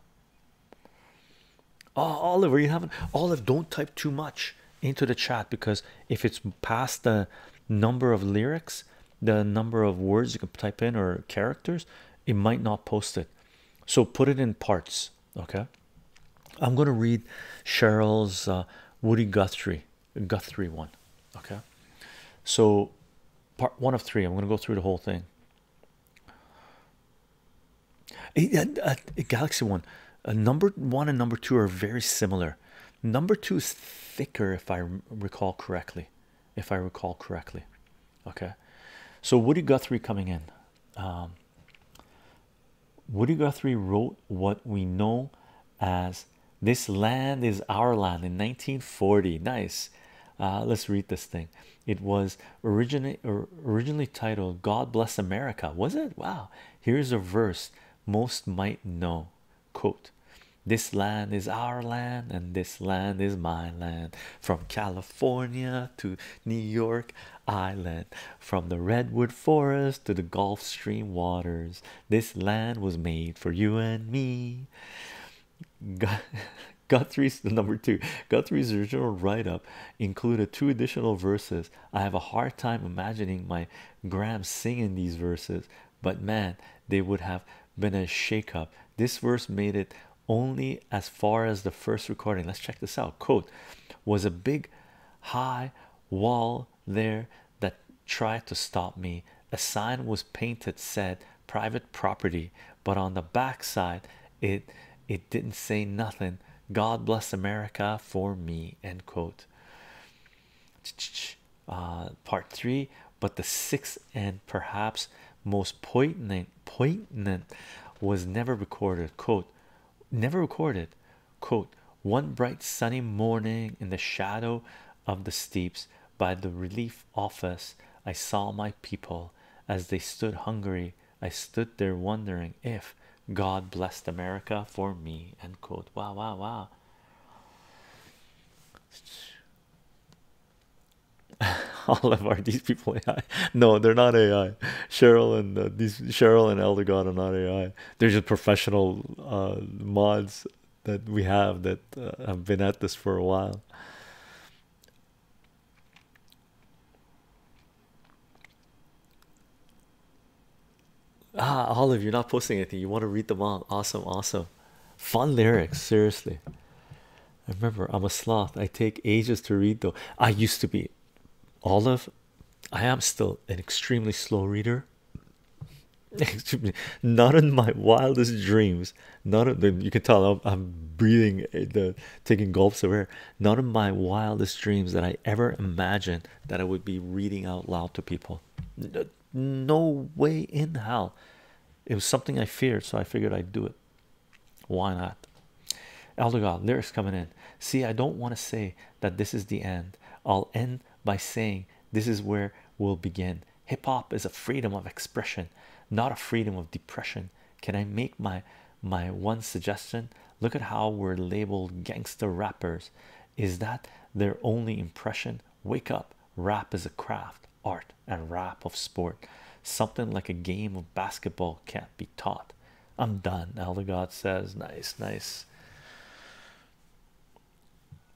Oh, Oliver, you haven't. Olive, don't type too much into the chat because if it's past the number of lyrics, the number of words you can type in or characters, it might not post it. So put it in parts. Okay, I'm gonna read Cheryl's uh, Woody Guthrie Guthrie one. Okay, so part one of three. I'm gonna go through the whole thing. Uh, Galaxy one, uh, number one and number two are very similar. Number two is thicker, if I recall correctly. If I recall correctly, okay. So Woody Guthrie coming in. Um, Woody Guthrie wrote what we know as "This Land Is Our Land" in 1940. Nice. Uh, let's read this thing. It was originally originally titled "God Bless America." Was it? Wow. Here's a verse most might know quote this land is our land and this land is my land from california to new york island from the redwood forest to the gulf stream waters this land was made for you and me got *laughs* Guthrie's *laughs* number two. Guthrie's original write-up included two additional verses. I have a hard time imagining my Gram singing these verses but man, they would have been a shake up. This verse made it only as far as the first recording. Let's check this out. Quote was a big high wall there that tried to stop me. A sign was painted said private property, but on the back side it it didn't say nothing. God bless America for me. End quote. Uh, part three, but the sixth and perhaps most poignant poignant was never recorded. Quote, never recorded. Quote, one bright sunny morning in the shadow of the steeps by the relief office, I saw my people as they stood hungry. I stood there wondering if God blessed America for me. End quote. Wow, wow, wow. *laughs* All of are these people AI? No, they're not AI. Cheryl and uh, these Cheryl and Elder God are not AI. They're just professional uh, mods that we have that uh, have been at this for a while. Ah, Olive, you're not posting anything. You want to read them all? Awesome, awesome. Fun lyrics, seriously. I remember I'm a sloth. I take ages to read though. I used to be olive. I am still an extremely slow reader. *laughs* not in my wildest dreams. None of the. you can tell I'm, breathing eh, taking gulps of air. None of my wildest dreams that I ever imagined that I would be reading out loud to people no way in hell. It was something I feared, so I figured I'd do it. Why not? Elder lyrics coming in. See, I don't want to say that this is the end. I'll end by saying this is where we'll begin. Hip hop is a freedom of expression, not a freedom of depression. Can I make my my one suggestion? Look at how we're labeled gangster rappers. Is that their only impression wake up rap is a craft art and rap of sport something like a game of basketball can't be taught i'm done elder god says nice nice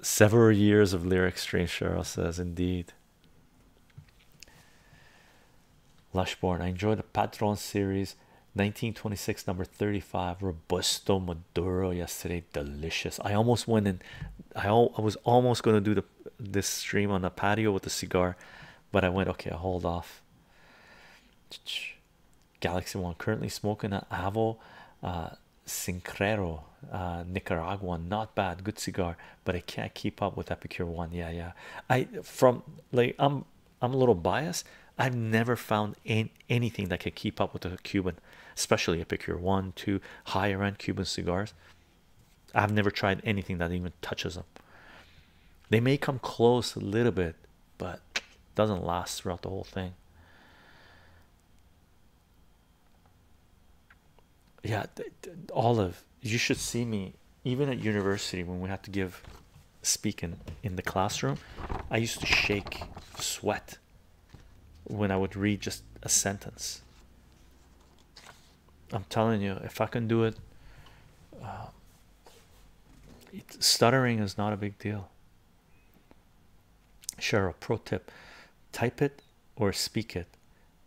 several years of lyrics. strange cheryl says indeed Lushborn, I enjoy the Patron series 1926, number 35. Robusto Maduro yesterday, delicious. I almost went in. I, al I was almost going to do the this stream on the patio with the cigar, but I went okay. I hold off. Galaxy One currently smoking an Avo uh, Sincrero uh, Nicaraguan, not bad, good cigar, but I can't keep up with Epicure One. Yeah, yeah. I from like I'm I'm a little biased. I've never found any, anything that can keep up with the Cuban especially Epicure One, Two, higher end Cuban cigars. I've never tried anything that even touches them. They may come close a little bit, but doesn't last throughout the whole thing. Yeah, Olive, you should see me even at university when we had to give speaking in the classroom. I used to shake sweat when I would read just a sentence. I'm telling you, if I can do it, uh, stuttering is not a big deal. Cheryl, pro tip type it or speak it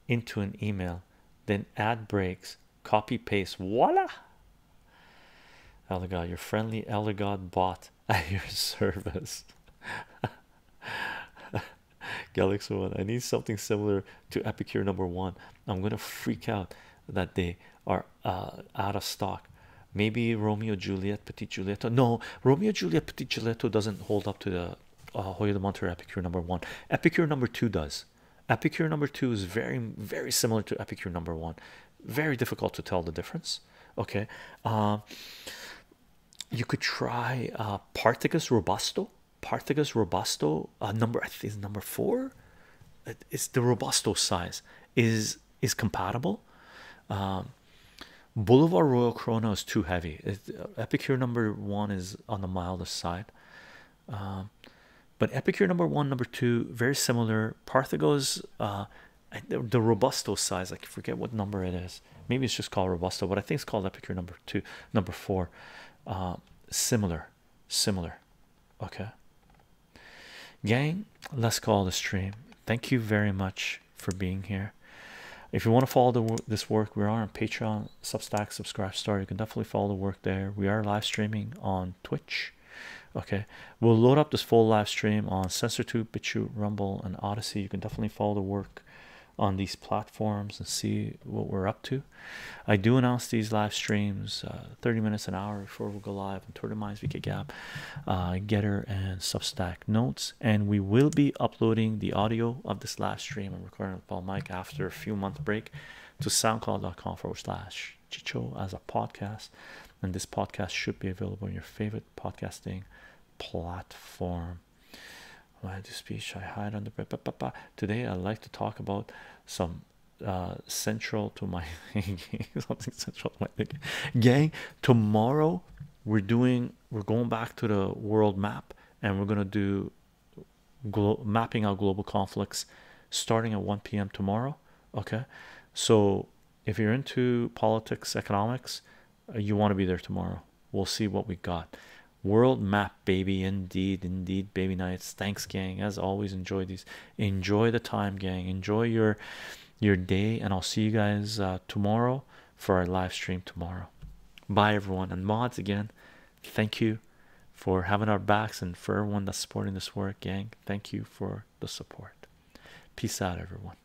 into an email, then add breaks, copy paste. Voila! Elder God, your friendly Elder bot at your *laughs* service. *laughs* *laughs* Galaxy One. I need something similar to Epicure Number One. I'm gonna freak out that they are uh, out of stock. Maybe Romeo Juliet Petit Giulietto. No, Romeo Juliet Petit Giulietto doesn't hold up to the uh, Hoya de Monterrey Epicure Number One. Epicure Number Two does. Epicure Number Two is very very similar to Epicure Number One. Very difficult to tell the difference. Okay. Uh, you could try uh, robusto. Particus robusto, uh, number is number four. It's the robusto size is is compatible. Um, Boulevard Royal Corona is too heavy. Uh, Epicure number one is on the mildest side. Um, but Epicure number one, number two, very similar. Parthagos, uh, the robusto size. I forget what number it is maybe it's just called robusto but i think it's called epicure number two number four uh, similar similar okay gang let's call the stream thank you very much for being here if you want to follow this work we are on patreon substack subscribe Store. you can definitely follow the work there we are live streaming on twitch okay we'll load up this full live stream on SensorTube, BitChute, rumble and odyssey you can definitely follow the work on these platforms and see what we're up to. I do announce these live streams uh, 30 minutes an hour before we go live on Twitter Minds, VK Gap, uh, Getter, and Substack notes. And we will be uploading the audio of this live stream and recording with Paul Mike after a few month break to soundcloud.com forward slash Chicho as a podcast. And this podcast should be available in your favorite podcasting platform am. When I speech, I hide under. Today, I would like to talk about some uh, central to my *laughs* something central to my gang. Tomorrow, we're doing. We're going back to the world map, and we're gonna do mapping out global conflicts, starting at 1 p.m. tomorrow. Okay, so if you're into politics, economics, you want to be there tomorrow. We'll see what we got. World map, baby. Indeed, indeed, baby nights. Thanks, gang. As always, enjoy these. Enjoy the time, gang. Enjoy your your day, and I'll see you guys uh, tomorrow for our live stream tomorrow. Bye, everyone, and mods again. Thank you for having our backs and for everyone that's supporting this work, gang. Thank you for the support. Peace out, everyone.